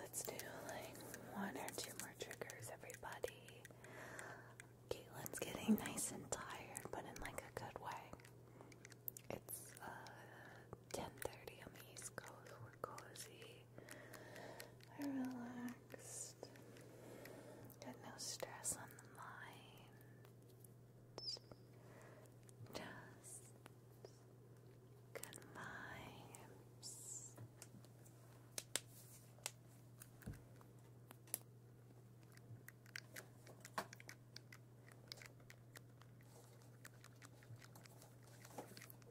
[SPEAKER 1] Let's do like one or two more triggers, everybody. Caitlin's getting nice and tired, but in like a good way. It's 10:30 uh, on the East Coast. We're cozy relaxed. Got no stress on the mind. Just good vibes.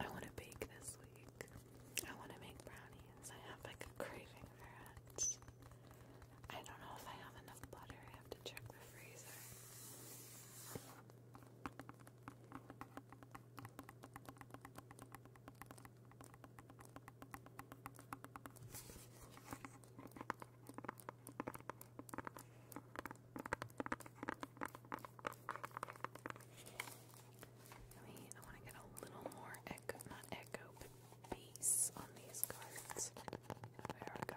[SPEAKER 1] I want to bake this week. I want to make brownies. I have like a craving for it. I don't know if I have enough butter. I have to check the freezer. I mean, want to get a little more echo, echo, but on these cards. There we go.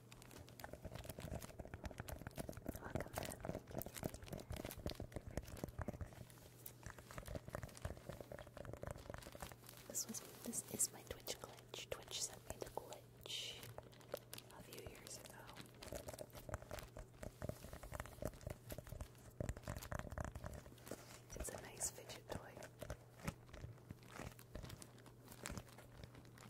[SPEAKER 1] This was this is my Twitch glitch. Twitch sent me the glitch a few years ago. It's a nice fidget toy.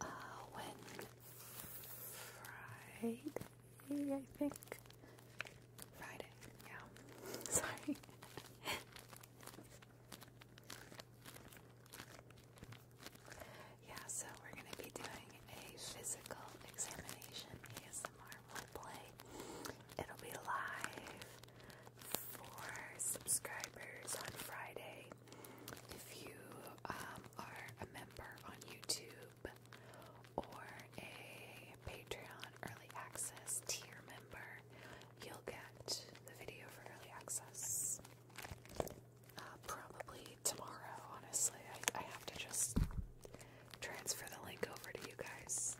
[SPEAKER 1] Uh, when Friday, I think. Friday, yeah. Sorry. yeah, so we're going to be doing a physical examination ASMR play. It'll be live for subscribers on Friday. If you um, are a member on YouTube or a Patreon early access tier member, you'll get the video for early access. Uh, probably tomorrow, honestly. I have to just transfer the link over to you guys.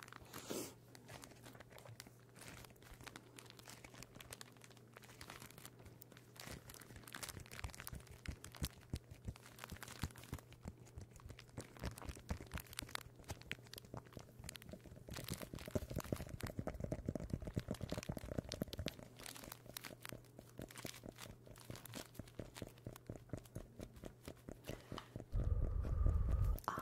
[SPEAKER 1] Um,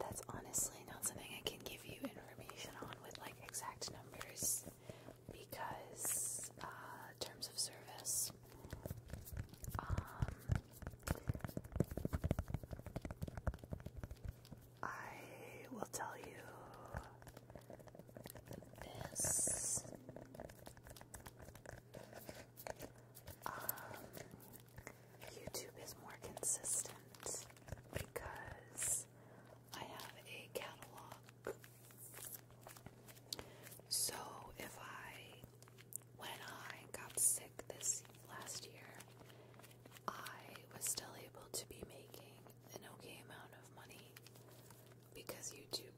[SPEAKER 1] that's honestly not something I can give you information on with like exact numbers because uh, terms of service. Um, I will tell you this um, YouTube is more consistent because I have a catalog. So if I, when I got sick this last year, I was still able to be making an okay amount of money because YouTube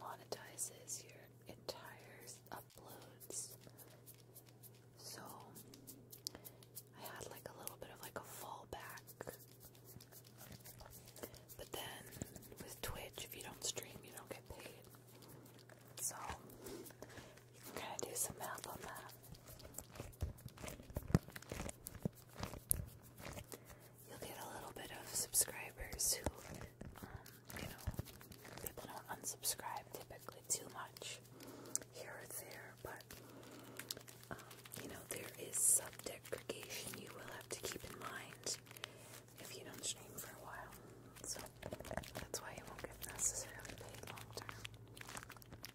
[SPEAKER 1] monetizes your entire uploads. So I had like a little bit of like a fallback. But then with Twitch, if you don't stream, you don't get paid. So you can kind of do some math on that. You'll get a little bit of subscribers who um, you know, people don't unsubscribe typically too much here or there, but um, you know, there is sub-degradation you will have to keep in mind if you don't stream for a while. So that's why you won't get necessarily paid long term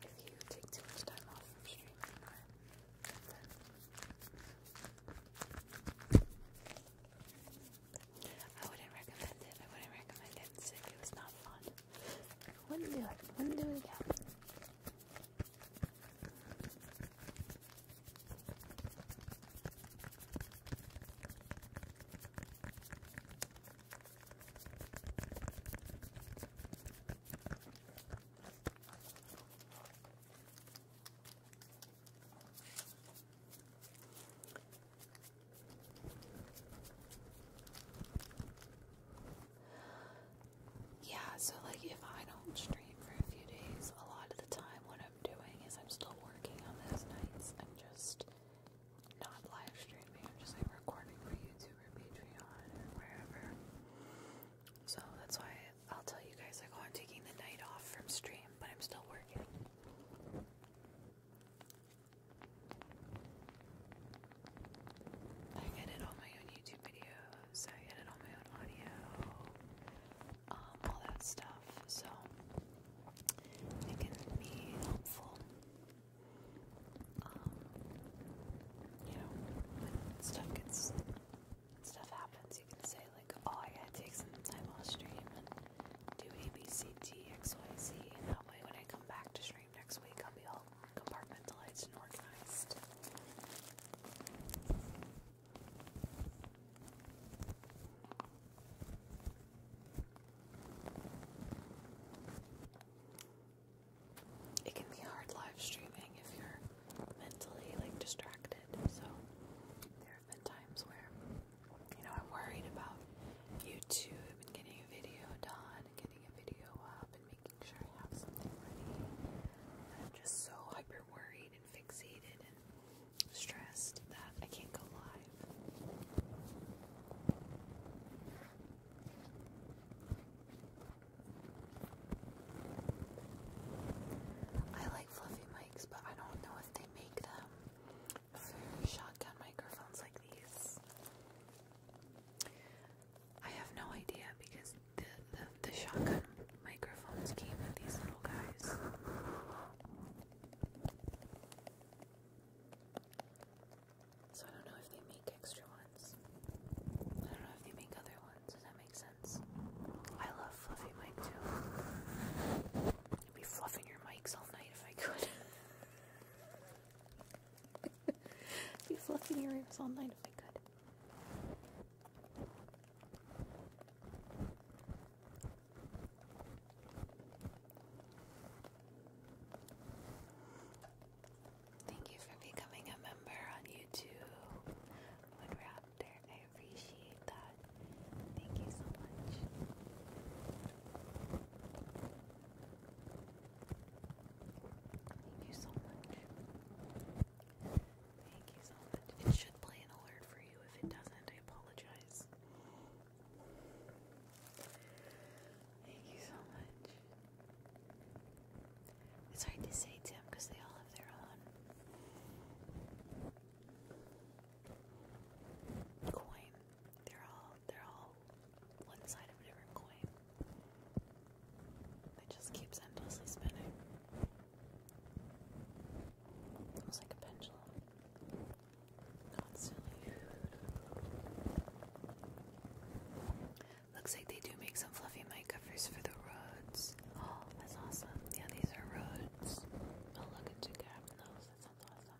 [SPEAKER 1] if you take too much time off from streaming. I wouldn't recommend it. I wouldn't recommend it. It was not fun. Wouldn't do it. Wouldn't do it again. Yeah, so like if I don't stream for a few days, a lot of the time what I'm doing is I'm still working on those nights. I'm just not live streaming, I'm just recording for YouTube or Patreon or wherever. So that's why I'll tell you guys like oh, I'm taking the night off from stream, but I'm still working. I edit all my own YouTube videos, I edit all my own audio, um, all that stuff, so it can be helpful. Um, you know, when stuff gets, stuff happens, you can say, say like, oh, I gotta take some time off stream and do A, B, C, D, X, Y, Z, and that way when I come back to stream next week, I'll be all compartmentalized and organized. It can be hard live streaming if you're mentally like distracted. So there have been times where you know, I'm worried about YouTube and getting a video done and getting a video up and making sure I have something ready. I'm just so hyper worried and fixated and stressed that I can't go live. I like fluffy mics, but I don't know if they make them shotgun microphones like these. I have no idea because the, the, shotgun microphones came with these little guys. So I don't know if they make extra ones. I don't know if they make other ones. Does that make sense? I love fluffy mic too. I'd be fluffing your mics all night if I could. I'd be fluffing your ears all night if I could. Thank you for becoming a member on YouTube, Wood Raptor appreciate that. Thank you so much. Thank you so much. Thank you so much. It should play an alert for you. If it doesn't, I apologize. Thank you so much. It's hard to say, Tim, because they all have their own coin. They're all they're all one side of a different coin. It just keeps endlessly spinning. Almost like a pendulum. Constantly. Looks like they do make some fluffy mic covers for the roads. Oh, that's awesome. Yeah, these are roads. Oh, look at two those. That sounds awesome.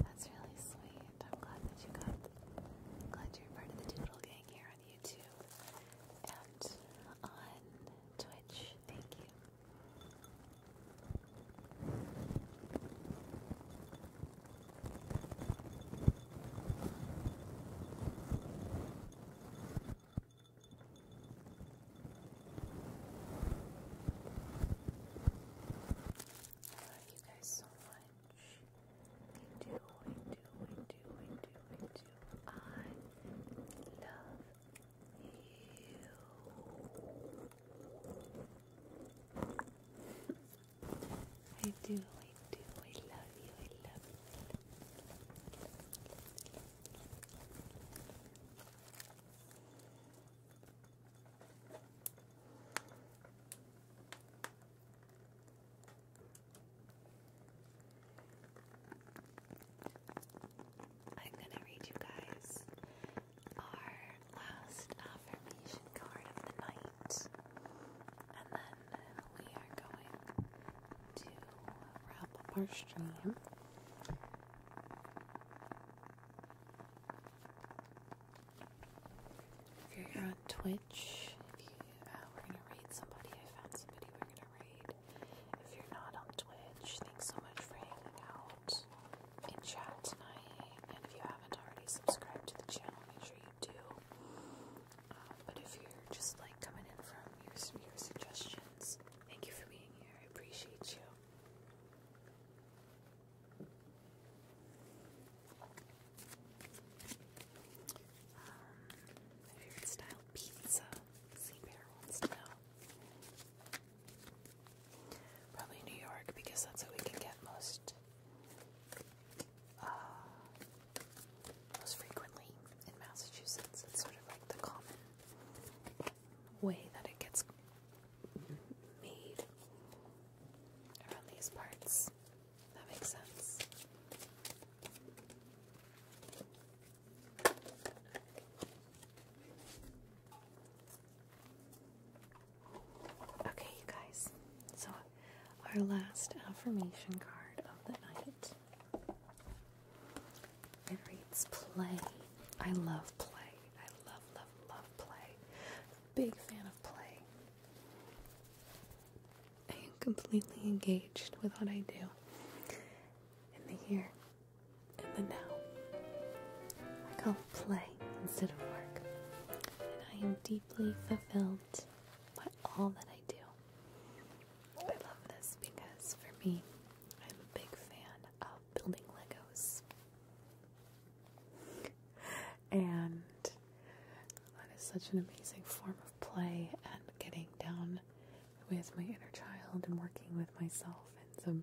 [SPEAKER 1] that's really sweet. I'm glad that you got. glad you're part of the Doodle Gang here on YouTube and on Twitch. Thank you. I you guys so much. I do, I do, I do, I do, I do. I love you. I do, I love you. I love you. am going to read you guys our last affirmation card of the night, and then we are going to uh, wrap up our stream. If you're on Twitch, uh, we're gonna raid somebody. I found somebody we're gonna raid. If you're not on Twitch, thanks so much for hanging out in chat tonight. And if you haven't already subscribed to the channel, make sure you do but if you're just like coming in from your, suggestions, thank you for being here. I appreciate you. my um, favorite style pizza. See Bear wants to know. Probably New York because that's what we can get most. Uh, most frequently in Massachusetts. It's sort of like the common way that it gets made around these parts. That makes sense. Okay, you guys. So, our last affirmation card of the night I love play. I love, love, love play. Big fan of play. I am completely engaged with what I do in the here and the now. I call it play instead of work. And I am deeply fulfilled by all that I do. Oh, I love this because for me, I'm a big fan of building Legos. and that is such an amazing form of play and getting down with my inner child and working with myself in some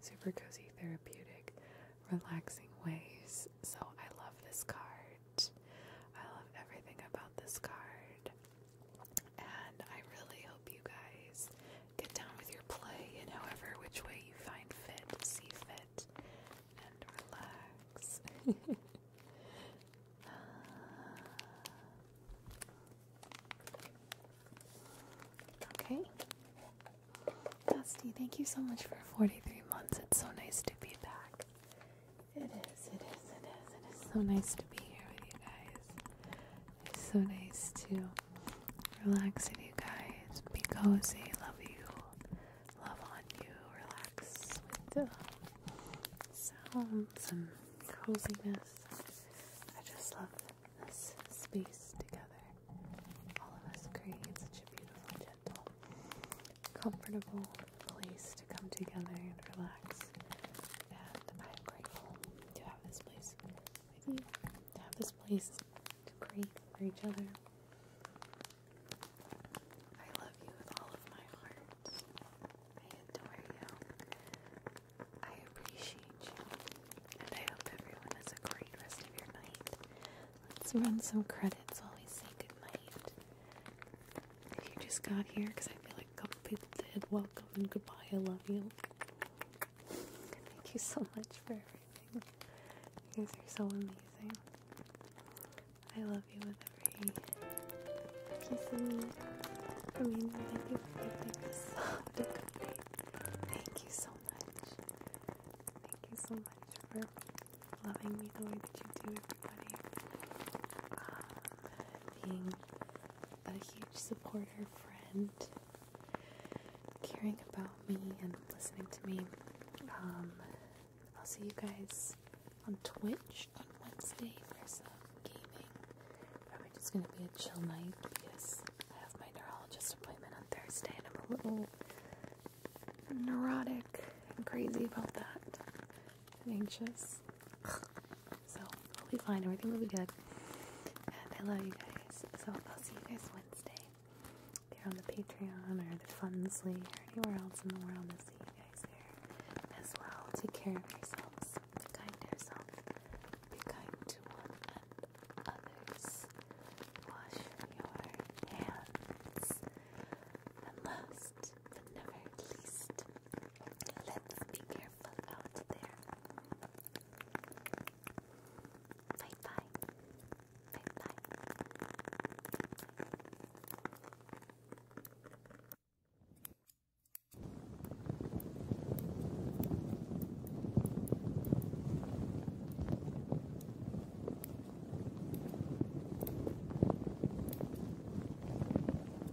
[SPEAKER 1] super cozy, therapeutic, relaxing ways. So I love this card. I love everything about this card.
[SPEAKER 2] And I really
[SPEAKER 1] hope you guys get down with your play in however which way you find fit, see fit, and relax. Uh, okay. Dusty, thank you so much for 43 months. It's so nice to be back. It is, it is, it is, it is so nice to be here with you guys. It's so nice to relax with you guys. Be cozy, love you, love on you, relax with the uh, sounds and coziness. I just love this space together. All of us create such a beautiful, gentle, comfortable place to come together and relax and I am grateful to have this place with you, to have this place to create for each other. I love you with all of my heart. I adore you. I appreciate you. And I hope everyone has a great rest of your night. Let's run some credits while we say good night you just got here, because I feel like a couple people did. Welcome and goodbye. I love you. Thank you so much for everything. You guys are so amazing. I love you with every piece of me. I mean, thank you for making this such a good Thank you so much. Thank you so much for loving me the way that you do, everybody. Ah, being a huge supporter, friend, caring about me and listening to me. Um, I'll see you guys on Twitch on Wednesday for some gaming. Probably just gonna be a chill night because I have my neurologist appointment on Thursday and I'm a little neurotic and crazy about that and anxious. So we'll be fine. Everything will be good. And I love you guys. So I'll see you guys Wednesday. If are on the Patreon or the Funsley or anywhere else in the world, I'll see you guys there as well. Take care of yourselves. Be kind to yourself. Be kind to one and others. Wash your hands. And last but never least, Let's be careful out there. Bye bye. Bye bye.